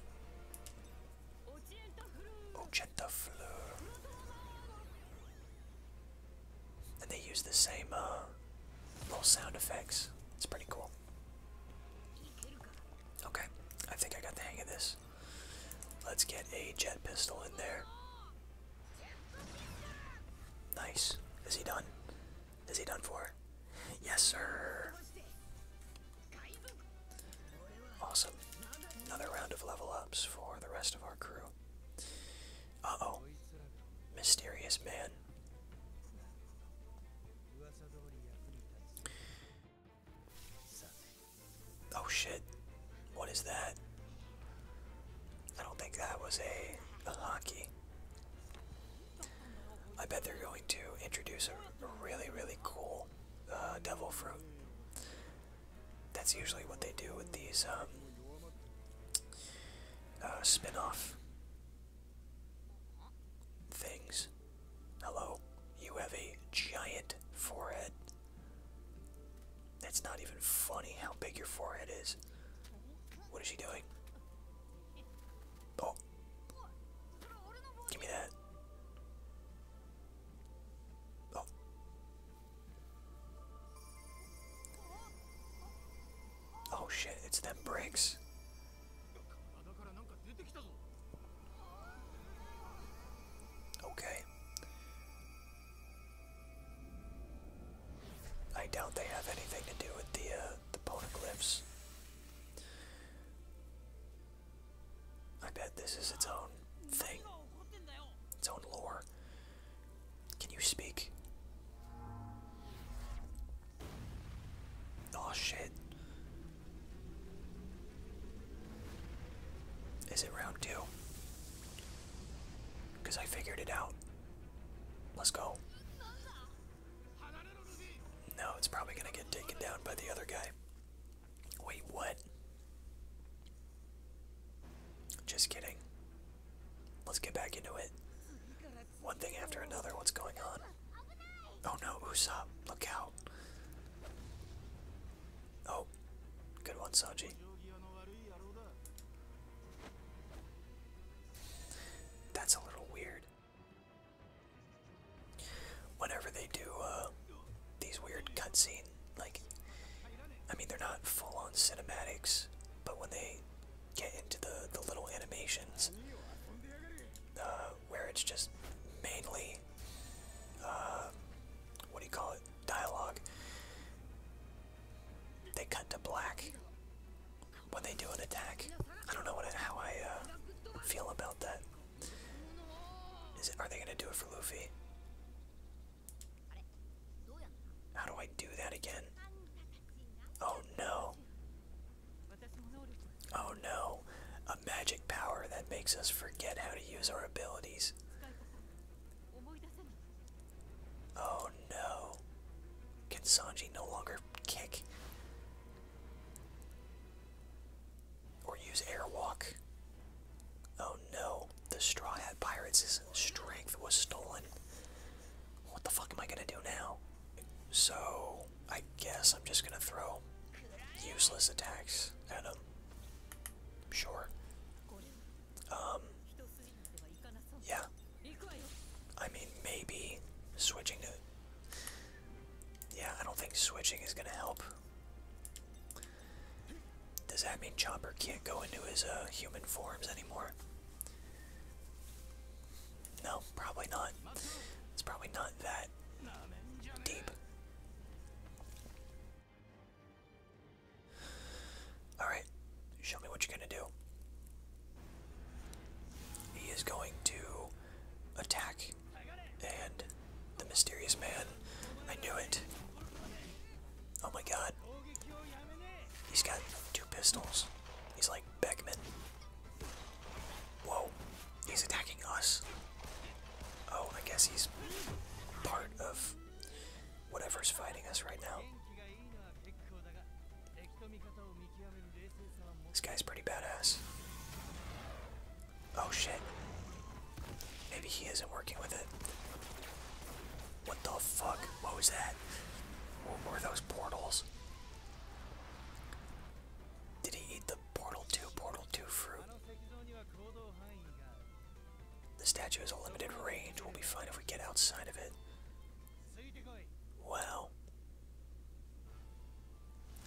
Ochenta Fleur. And they use the same uh, little sound effects. It's pretty cool. Okay, I think I got the hang of this. Let's get a jet pistol in there. Nice. Is he done? Is he done for? Yes, sir. Awesome. Another round of level ups for the rest of our crew. Uh oh. Mysterious man. Oh shit. What is that? I don't think that was a, a hockey. I bet they're going to introduce a, really, really cool uh, devil fruit. That's usually what they do with these um, uh, spin off things. Hello, you have a giant forehead. That's not even funny how big your forehead is. What is she doing? Oh. Give me that. Oh. Oh shit, it's them bricks. Okay. I doubt they have anything to do with the uh, the poneglyphs. I bet this is its own thing, its own lore. Can you speak? Oh shit. Is it round two? Because I figured it out. Let's go. No, it's probably going to get taken down by the other guy. Wait, what? Just kidding. Let's get back into it. One thing after another, what's going on? Oh no, Usopp, look out. Oh, good one, Saji. That's a little weird. Whenever they do uh, these weird cutscene, like, I mean, they're not full-on cinematics, but when they get into the the little animations, uh, where it's just mainly, uh, what do you call it? dialogue. They cut to black when they do an attack. I don't know what how I uh, feel about that. are they gonna do it for Luffy? How do I do that again? Oh no! Oh no! A magic power that makes us forget how to use our abilities. Oh no. Can Sanji no longer kick? Or use airwalk? Oh no. The Straw Hat Pirates' strength was stolen. What the fuck am I gonna do now? So, I guess I'm just gonna throw useless attacks at him. Sure. Um, yeah. I mean, maybe switching to. Yeah, I don't think switching is gonna help. Does that mean Chopper can't go into his uh, human forms anymore? No, probably not. It's probably not that deep. Alright, show me what you're going to do. He is going to attack. And the mysterious man. I knew it. Oh my god. He's got two pistols. He's like Beckman. Whoa. He's attacking us. Oh, I guess he's part of whatever's fighting us right now. This guy's pretty badass. Oh shit. Maybe he isn't working with it. What the fuck? What was that? What were those portals? Did he eat the Portal 2, Portal 2 fruit? The statue has a limited range. We'll be fine if we get outside of it. Well.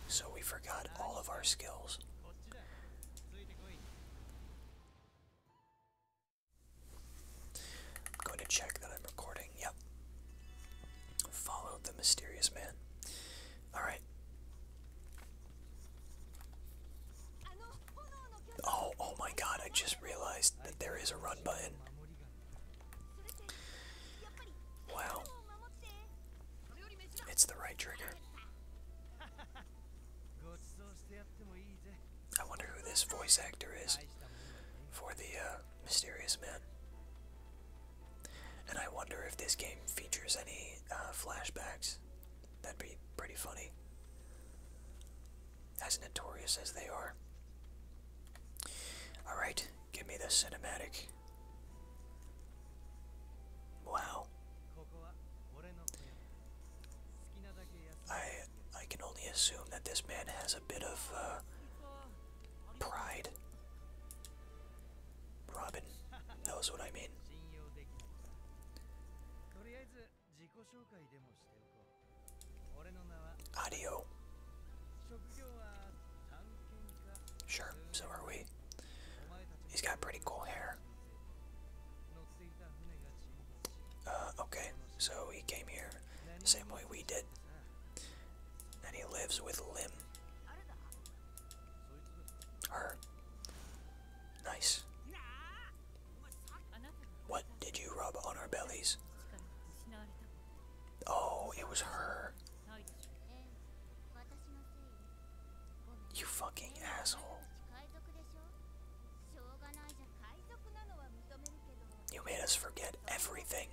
So we forgot all of our skills. I'm going to check that I'm recording. Yep. Follow the mysterious man. Alright. Oh, oh, my god, I just realized that there is a run button. Wow. It's the right trigger. I wonder who this voice actor is for the uh, Mysterious Man. And I wonder if this game features any uh, flashbacks. That'd be pretty funny as notorious as they are. Alright, give me the cinematic. Wow. I I can only assume that this man has a bit of uh, pride. Robin knows what I mean. 自己紹介でもしておこう俺の名は Audio Sure, so are we He's got pretty cool hair okay, so he came here same way we did and he lives with Lim her nice what did you rub on our bellies? Oh, it was her. You fucking asshole. You made us forget everything.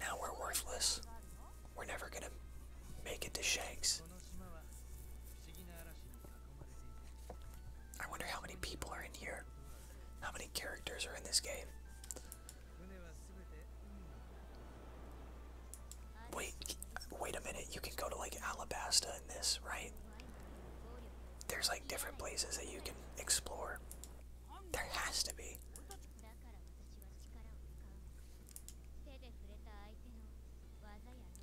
Now we're worthless. We're never gonna make it to Shanks. I wonder how many people are in here. How many characters are in this game? Wait, wait a minute. You can go to like Alabasta in this, right? There's like different places that you can explore. There has to be.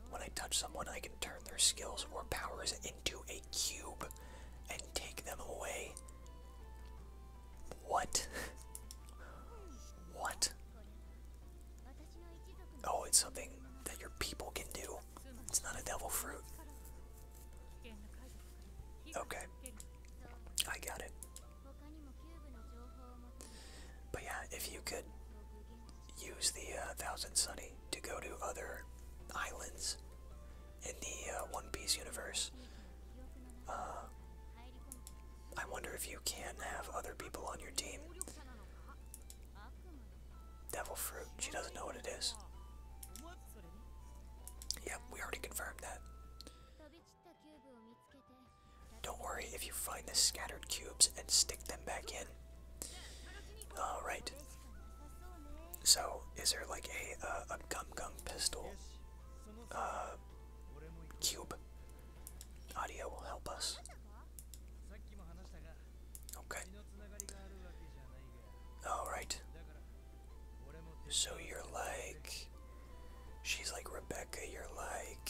When I touch someone, I can turn their skills or powers into a cube and take them away. What? what? Oh, it's something that your people can do. It's not a devil fruit. Okay. I got it. But yeah, if you could use the uh, Thousand Sunny to go to other islands in the uh, One Piece universe. Uh, I wonder if you can have other people on your team. Devil Fruit, she doesn't know what it is. Yep, we already confirmed that. Don't worry if you find the scattered cubes and stick them back in. All right. So, is there like a uh, a gum gum pistol uh, cube? Audio will help us. Okay. All right. So you're like, she's like Rebecca. You're like,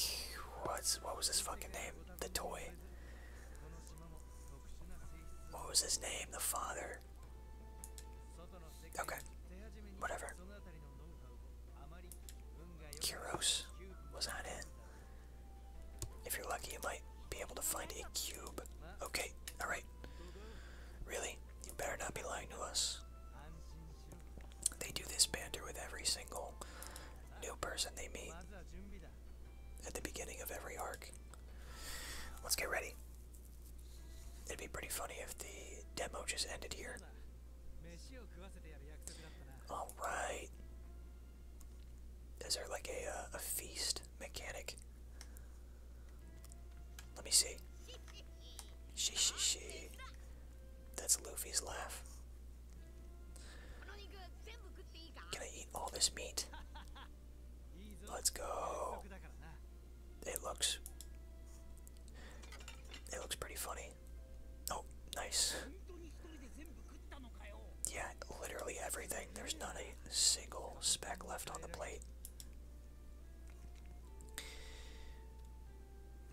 what's what was his fucking name? The toy. What was his name? The father. Okay. Whatever. Kuros was that it? If you're lucky, you might be able to find a cube. Okay, alright. Really? You better not be lying to us. They do this banter with every single new person they meet at the beginning of every arc. Let's get ready. It'd be pretty funny if the demo just ended here. Alright. Is there like a, uh, a feast mechanic? Let me see. She, she, she. That's Luffy's laugh. Can I eat all this meat? Let's go. It looks. It looks pretty funny. Oh, nice. Yeah, literally everything. There's not a single speck left on the plate.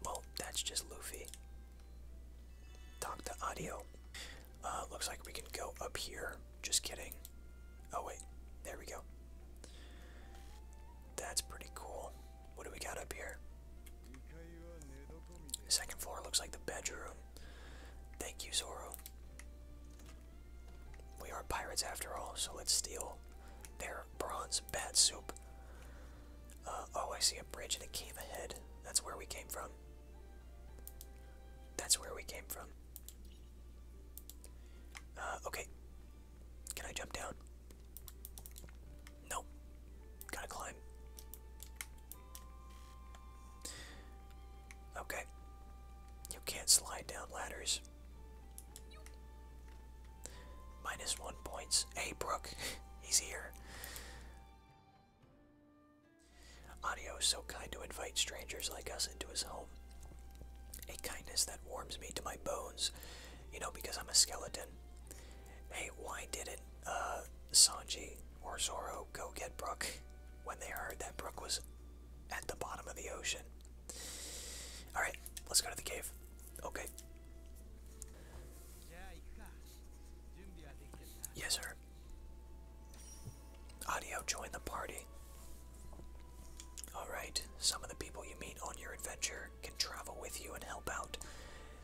Well, that's just Luffy. Talk to audio. Uh, looks like we can go up here. Just kidding. Oh, wait. There we go. That's pretty cool. What do we got up here? Second floor looks like the bedroom. Thank you, Zoro. We are pirates after all, so let's steal their bronze bat soup. Uh, oh, I see a bridge and a cave ahead. That's where we came from. That's where we came from. Uh, okay. Can I jump down? Nope. Gotta climb. Okay. You can't slide down ladders. Minus one points. Hey, Brooke. *laughs* He's here. Adio, is so kind to invite strangers like us into his home. A kindness that warms me to my bones, you know, because I'm a skeleton. Hey, why did it, uh, Sanji or Zoro go get Brook when they heard that Brook was at the bottom of the ocean? Alright, let's go to the cave. Okay. Yes, sir. Audio, join the party. Alright, some of the people you meet on your adventure can travel with you and help out.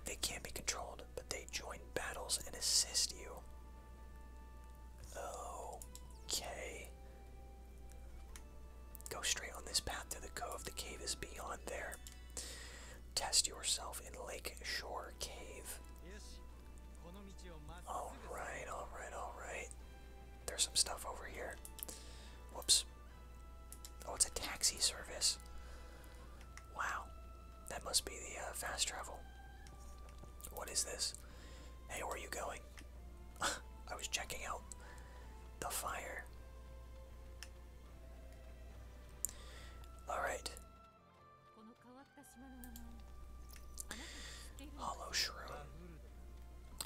They can't be controlled, but they join battles and assist you. Okay. Go straight on this path to the cove. The cave is beyond there. Test yourself in Lake Shore Cave. Yes, Alright, alright, alright. There's some stuff over here. Whoops. Oh, it's a taxi service. Wow. That must be the uh, fast travel. What is this? Hey, where are you going? *laughs* I was checking out the fire. Alright. Hello, Shroom.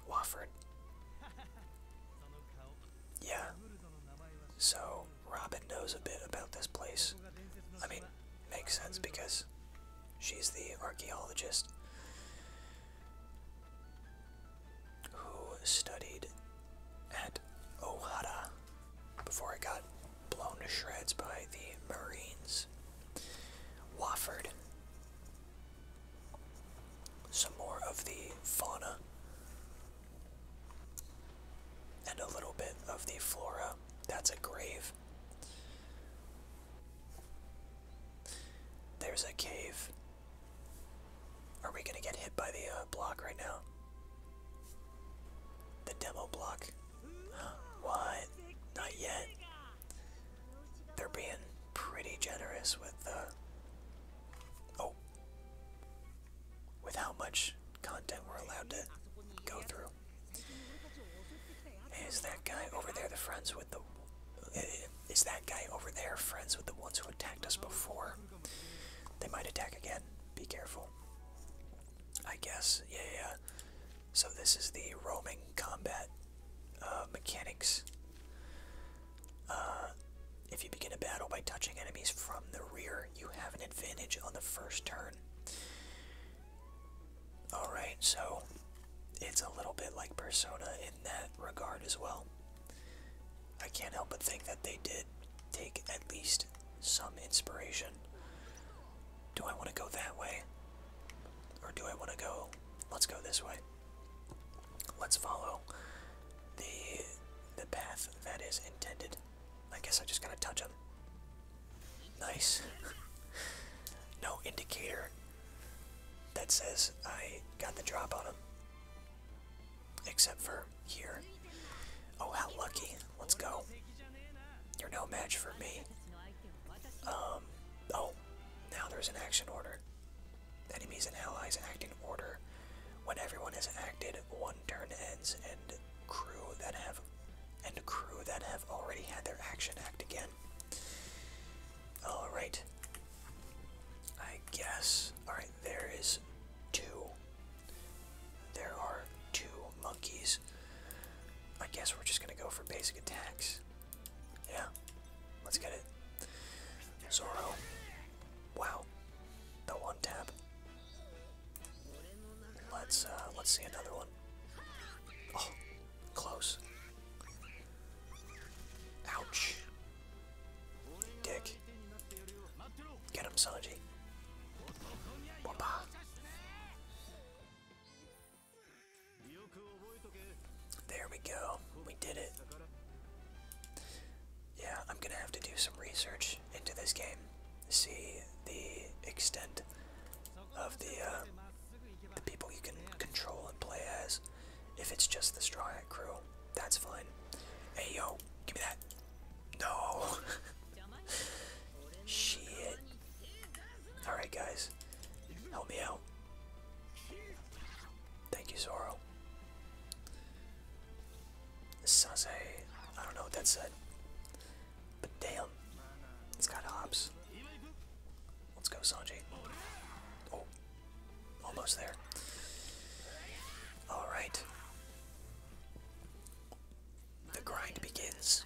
Wofford. Yeah. So, Robin knows a bit about this place. I mean, makes sense because she's the archaeologist who studied at Ohara before it got blown to shreds by the Marines. Wofford. Some more of the fauna. And a little bit of the flora. That's a grave. There's a cave. Are we gonna get hit by the uh, block right now? The demo block. What? Not yet. They're being pretty generous with the. Uh, oh. With how much content we're allowed to go through. Is that guy over there the friends with the. Is that guy over there friends with the ones who attacked us before? They might attack again. Be careful. I guess. Yeah, yeah. So this is the roaming combat uh, mechanics. Uh, if you begin a battle by touching enemies from the rear, you have an advantage on the first turn. Alright, so it's a little bit like Persona in that regard as well. I can't help but think that they did take at least some inspiration do I want to go that way? Or do I want to go. Let's go this way. Let's follow the the path that is intended. I guess I just gotta touch him. Nice. *laughs* no indicator that says I got the drop on him. Except for here. Oh, how lucky. Let's go. You're no match for me. Um, oh, now there's an action order. Enemies and allies act in order. When everyone has acted, one turn ends, and crew that have and crew that have already had their action act again. All right. I guess. All right. There is two. There are two monkeys. I guess we're just gonna go for basic attacks. Yeah. Let's get it. Zoro. Wow. The one tap. Let's uh, let's see another one. Oh, close. Ouch. Dick. Get him, Sanji. Wapa. There we go. We did it. Yeah, I'm gonna have to do some research into this game. See the extent of the, uh, the people you can control and play as. If it's just the Straw Hat crew, that's fine. Hey yo, give me that. No. *laughs* Shit. Alright, guys. Help me out. Thank you, Zoro. Sase. I don't know what that said. But damn. It's got hops. Let's go, Sanji. Oh. Almost there. Alright. The grind begins.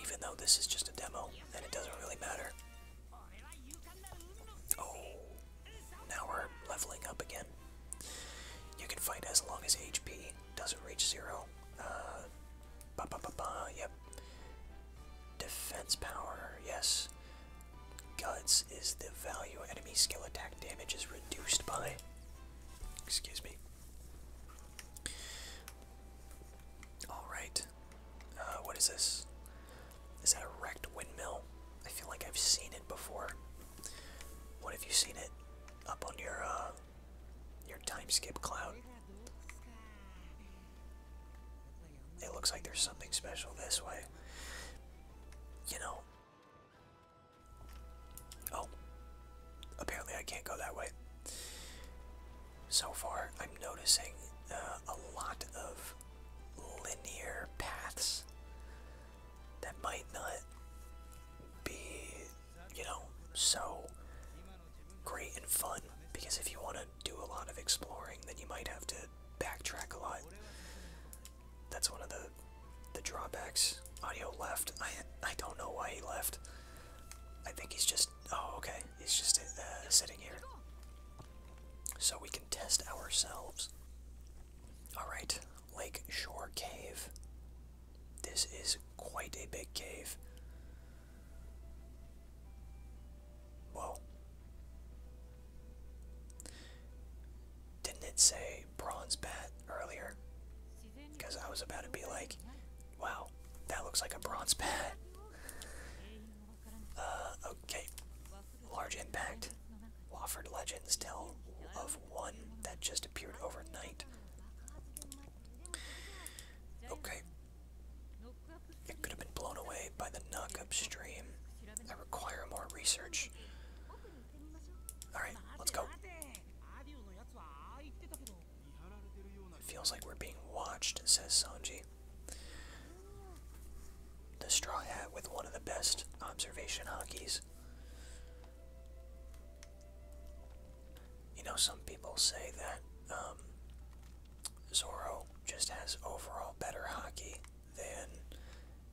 Even though this is just a demo, then it doesn't really matter. Oh, now we're leveling up again. You can fight as long as HP doesn't reach zero. Uh, ba ba ba ba. Yep. Defense power. Yes. Guts is the value enemy skill attack damage is reduced by. Excuse me. Alright. Uh, what is this? Is that a wrecked windmill? I feel like I've seen it before. What have you seen it? Up on your, uh, your time cloud. It looks like there's something special this way. You know. Oh. Apparently I can't go that way so far I'm noticing uh, a lot of linear paths that might not be, you know, so great and fun because if you want to do a lot of exploring, then you might have to backtrack a lot. That's one of the the drawbacks. Audio left. I I don't know why he left. I think he's just. Oh, okay. It's just uh, sitting here. So we can test ourselves. Alright, Lake Shore Cave. This is quite a big cave. Whoa. Didn't it say bronze bat earlier? Because I was about to be like, Wow, that looks like a bronze pad. Uh, okay. Large impact. Wofford legends tell of one that just appeared overnight. Okay. It could have been blown away by the knock upstream. I require more research. Alright, let's go. It feels like we're being watched, says Sanji. The Straw Hat with one of the best observation hockeys. You know, some people say that um, Zoro just has overall better hockey than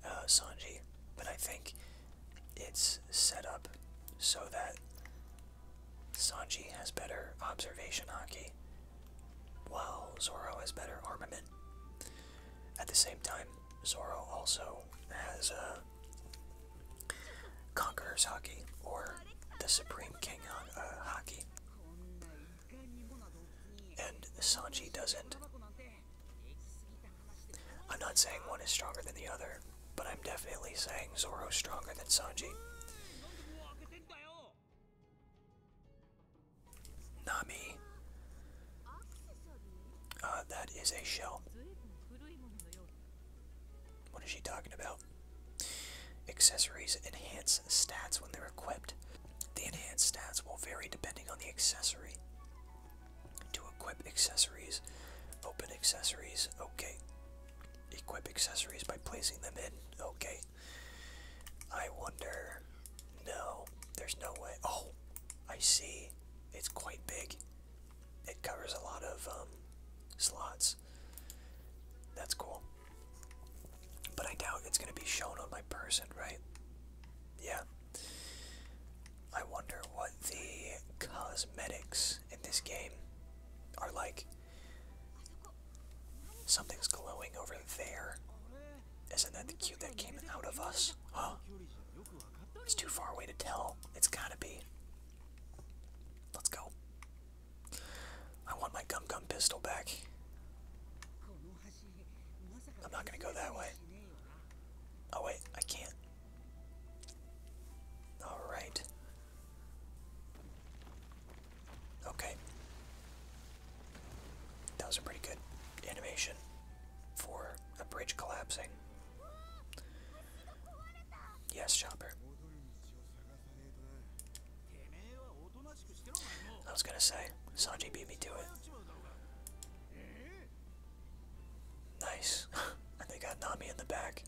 uh, Sanji, but I think it's set up so that Sanji has better observation hockey, while Zoro has better armament. At the same time, Zoro also has uh, Conqueror's Hockey, or the Supreme King uh, Hockey. And Sanji doesn't. I'm not saying one is stronger than the other, but I'm definitely saying Zoro's stronger than Sanji. Nami. Uh, that is a shell. What is she talking about? Accessories enhance stats when they're equipped. The enhanced stats will vary depending on the accessory. To equip accessories, open accessories, okay. Equip accessories by placing them in, okay. I wonder. No, there's no way. Oh, I see. It's quite big. It covers a lot of um, slots. That's cool. But I doubt it's going to be shown on my person, right? Yeah. I wonder what the cosmetics in this game are like. Something's glowing over there. Isn't that the cube that came out of us? Huh? It's too far away to tell. It's gotta be. Let's go. I want my gum gum pistol back. I'm not gonna go that way. Oh wait, I can't. Alright. Okay. That was a pretty good animation for a bridge collapsing. Yes, Chopper. I was gonna say, Sanji beat me to it. Nice. and they got Nami in the back.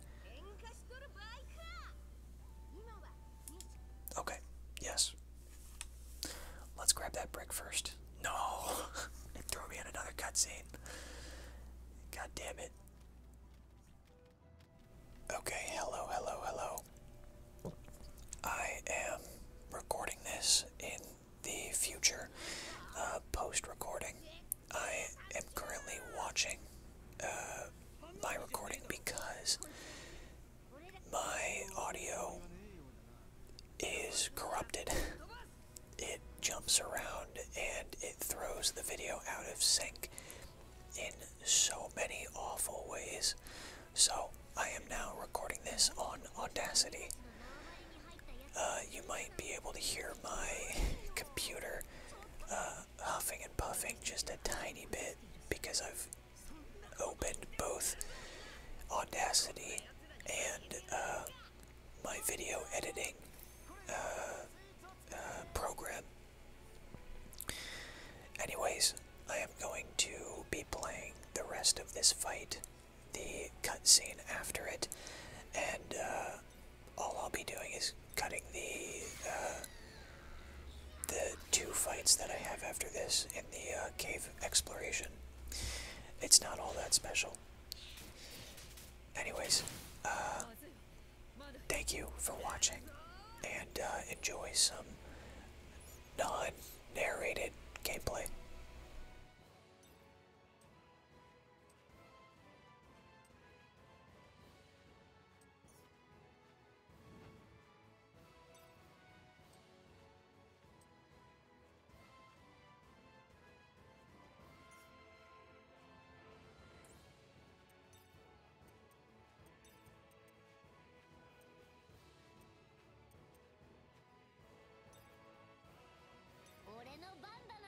Okay, yes. Let's grab that brick first. No! it *laughs* me in another cutscene. God damn it. Okay, hello, hello, hello. I am recording this in the future, uh, post recording. I am currently watching uh, my recording because my audio is corrupted. *laughs* It jumps around and it throws the video out of sync in so many awful ways. So I am now recording this on Audacity. Uh, you might be able to hear my *laughs* computer uh, huffing and puffing just a tiny bit because I've opened both Audacity and uh, my video editing uh, uh, program. Anyways, I am going to be playing the rest of this fight, the cutscene after it, and all I'll be doing is cutting the uh, the two fights that I have after this in the uh, cave exploration. It's not all that special. Anyways, uh, thank you for watching, and enjoy some non-narrated gameplay. 俺の番だな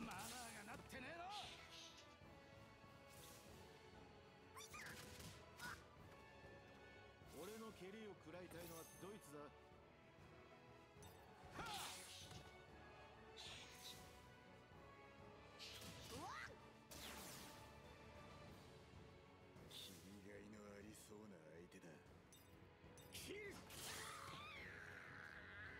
マナーがなってねえの俺の蹴りを食らいたいのはドイツだ君以外のありそうな相手だキ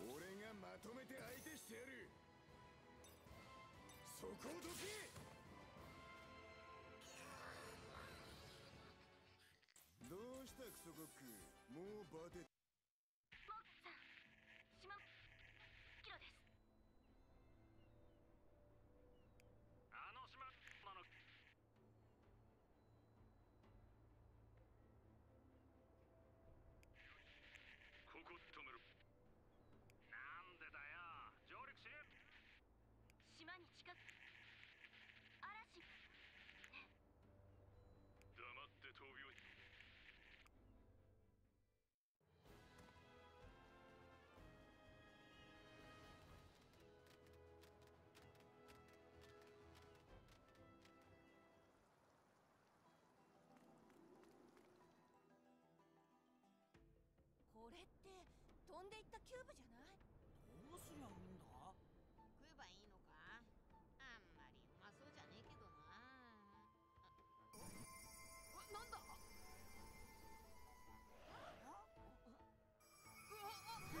俺がまとめて相手してやるそこをどけどうしたクソコく、クもうバテスモークさん島キロですあの島なのここ止めるなんでだよ上陸し島に近く嵐黙って闘病これって飛んでいったキューブじゃないどうするゃいいんだ食えばいいのかあんまりうまそうじゃねえけどななんだう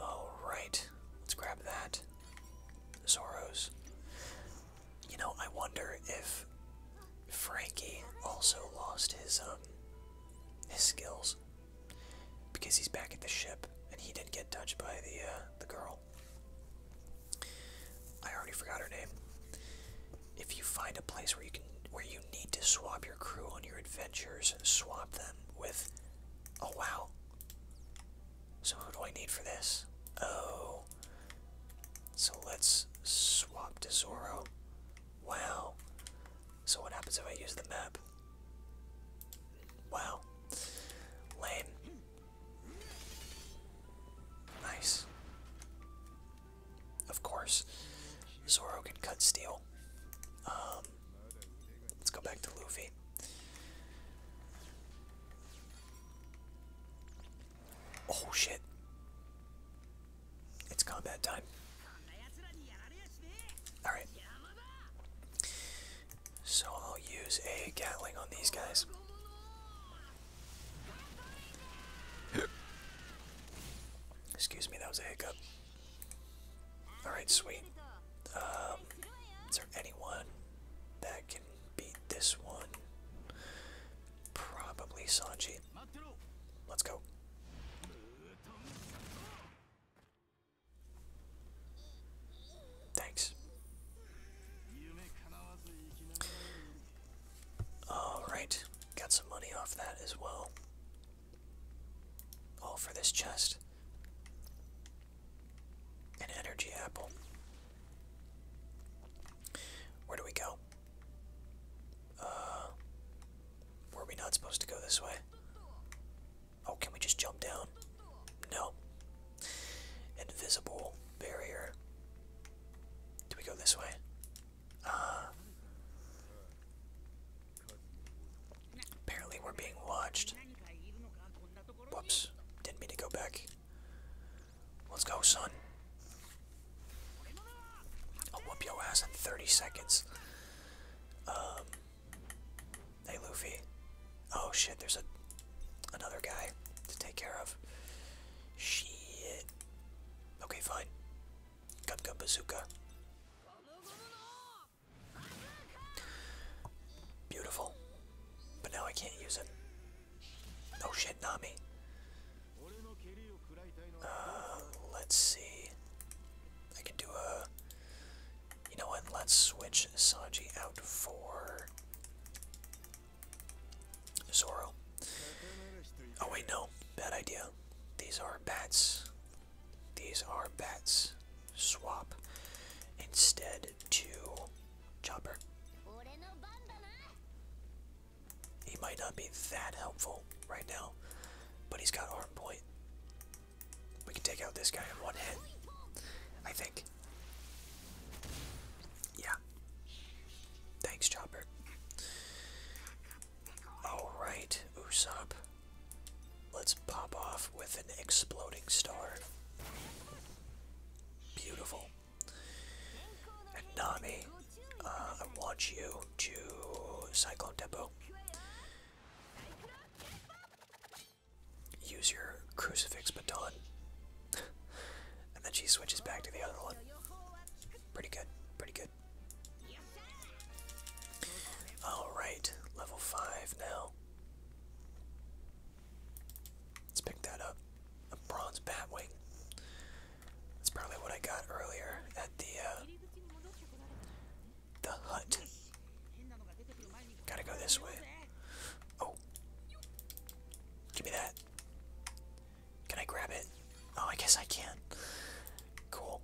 Alright, let's grab that. Zoros. You know, I wonder if Frankie also lost his um his skills because he's back at the ship and he didn't get touched by the uh, the girl. I already forgot her name. If you find a place where you can where you need to swap your crew on your adventures, swap them with Oh wow. So who do I need for this? Oh. So let's swap to Zoro. Wow. So what happens if I use the map? Wow. Lame. Nice. Of course. Zoro can cut steel. Um um, let's go back to Luffy. Oh shit. It's combat time. Alright. So I'll use a Gatling on these guys. Excuse me, that was a hiccup. Alright, sweet. Um, is there anyone that can beat this one? Probably Sanji. Let's go. Thanks. Alright, got some money off that as well. All for this chest. An energy apple. Where do we go? Uh, were we not supposed to go this way? Oh, can we just jump down? No. Invisible barrier. Do we go this way? Uh, Apparently we're being watched. Whoops. Didn't mean to go back. Let's go, son. I'll whoop your ass in 30 seconds. Um, hey, Luffy. Oh, shit, there's a another guy to take care of. Shit. Okay, fine. Gub Gub Bazooka. Beautiful. But now I can't use it. Oh shit, Nami. Uh, let's see. I can do a. You know what? Let's switch Sanji out for Zoro. Oh wait, no. Bad idea. These are bats. These are bats. Swap instead to Chopper. He might not be that helpful right now, but he's got arm point. We can take out this guy in one hit, I think. Yeah. Thanks, Chopper. Alright, Usopp. Let's pop off with an exploding star. Beautiful. And Nami, uh, I want you to Cyclone Tempo. Use your Crucifix Baton. *laughs* and then she switches back to the other one. Pretty good, pretty good. Alright, level 5 now. Let's pick that up. A bronze batwing. That's probably what I got earlier at the uh, the hut. Gotta go this way. Oh, give me that. Can I grab it? Oh, I guess I can. Cool.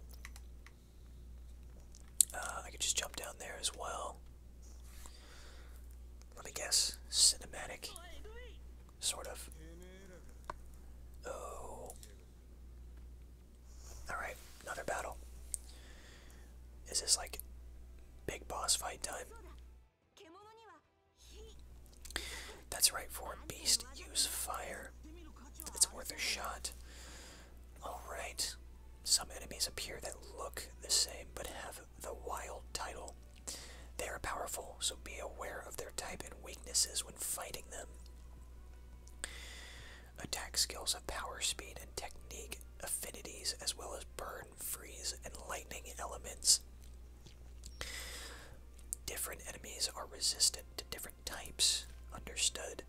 Uh, I could just jump down there as well. Let me guess. Cinematic. Sort of. Oh. Alright, another battle. Is this like big boss fight time? That's right, for a beast, use fire. It's worth a shot. Alright. Some enemies appear that look the same but have the wild title. They are powerful, so be aware of their type and weaknesses when fighting them. Attack skills of power, speed, and technique affinities, as well as burn, freeze, and lightning elements. Different enemies are resistant to different types. Understood.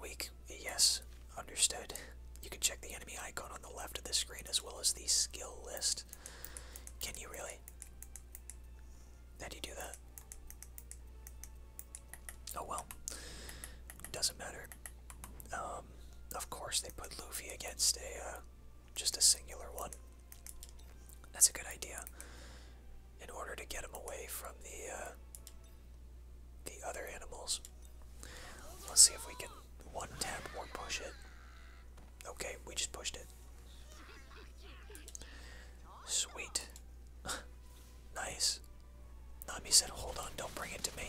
Weak. Yes, understood. You can check the enemy icon on the left of the screen as well as the skill list. Can you really? How do you do that? Oh well. Doesn't matter. Um, of course they put Luffy against a, uh, just a singular one. That's a good idea. In order to get him away from the, uh, the other animals. Let's see if we can one tap or push it. Okay, we just pushed it. Sweet. *laughs* nice. Nami said, hold on, don't bring it to me.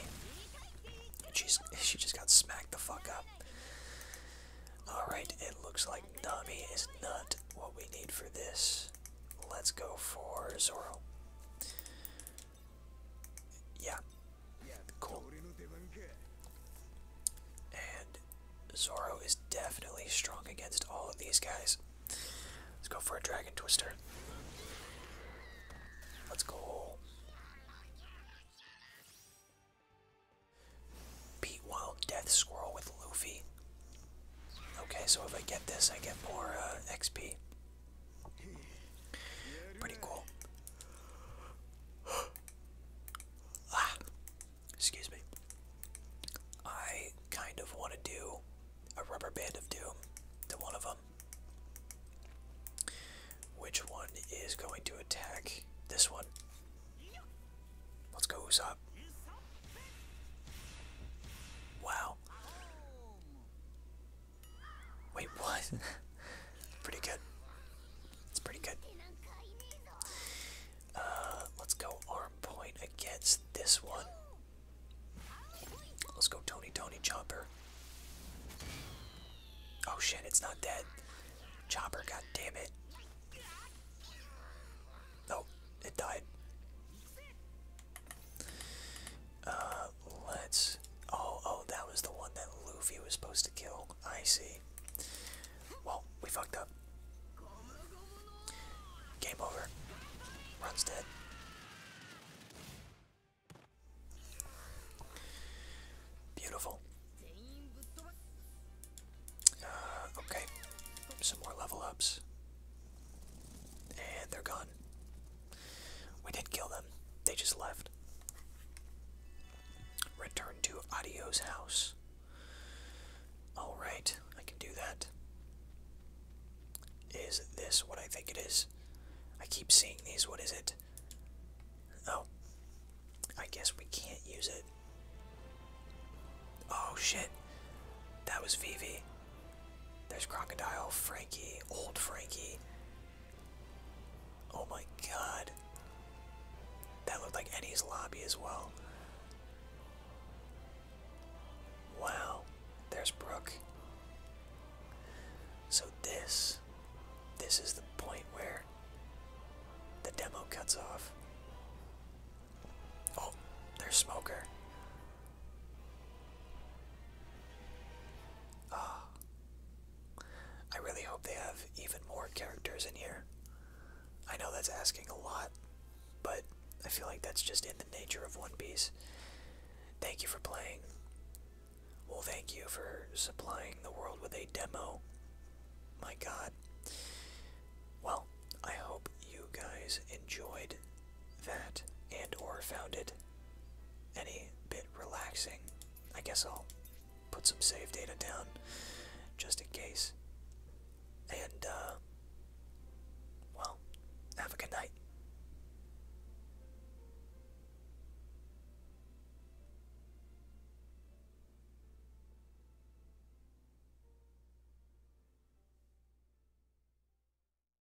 She's, *laughs* she just got smacked the fuck up. Alright, it looks like Nami is not what we need for this. Let's go for Zoro. Yeah. Cool. And Zoro is definitely strong against all of these guys. Let's go for a Dragon Twister. Let's go. Beat Wild Death Squirrel with Luffy. Okay, so if I get this, I get more uh, XP. Pretty cool. *sighs* Ah, excuse me. I kind of want to do a rubber band of doom to one of them. Which one is going to attack this one? Let's go Usopp. Wow. Wait, what? *laughs* pretty good. It's pretty good. Uh, let's go arm point against this one. Let's go Tony Tony Chopper. Oh shit, it's not dead. Chopper, god damn it. No, oh, it died. Uh, let's. Oh, oh, that was the one that Luffy was supposed to kill. I see. Well, we fucked up. Game over. Run's dead. Beautiful. Uh, okay. Some more level ups. And they're gone. We did kill them. They just left. Return to Adio's house. Alright, I can do that. Is this what I think it is? I keep seeing these. What is it? Oh. I guess we can't use it. Oh shit. That was Vivi. There's Crocodile, Frankie, old Frankie. Oh my god. That looked like Eddie's lobby as well. Wow. There's Brooke. So this this is the point where the demo cuts off. Oh, there's Smoker. Oh. I really hope they have even more characters in here. I know that's asking a lot, but I feel like that's just in the nature of One Piece. Thank you for playing. Well, thank you for supplying the world with a demo. My god. Well, I hope you guys enjoyed that and or found it any bit relaxing, I guess I'll put some save data down just in case. And, uh, well, have a good night.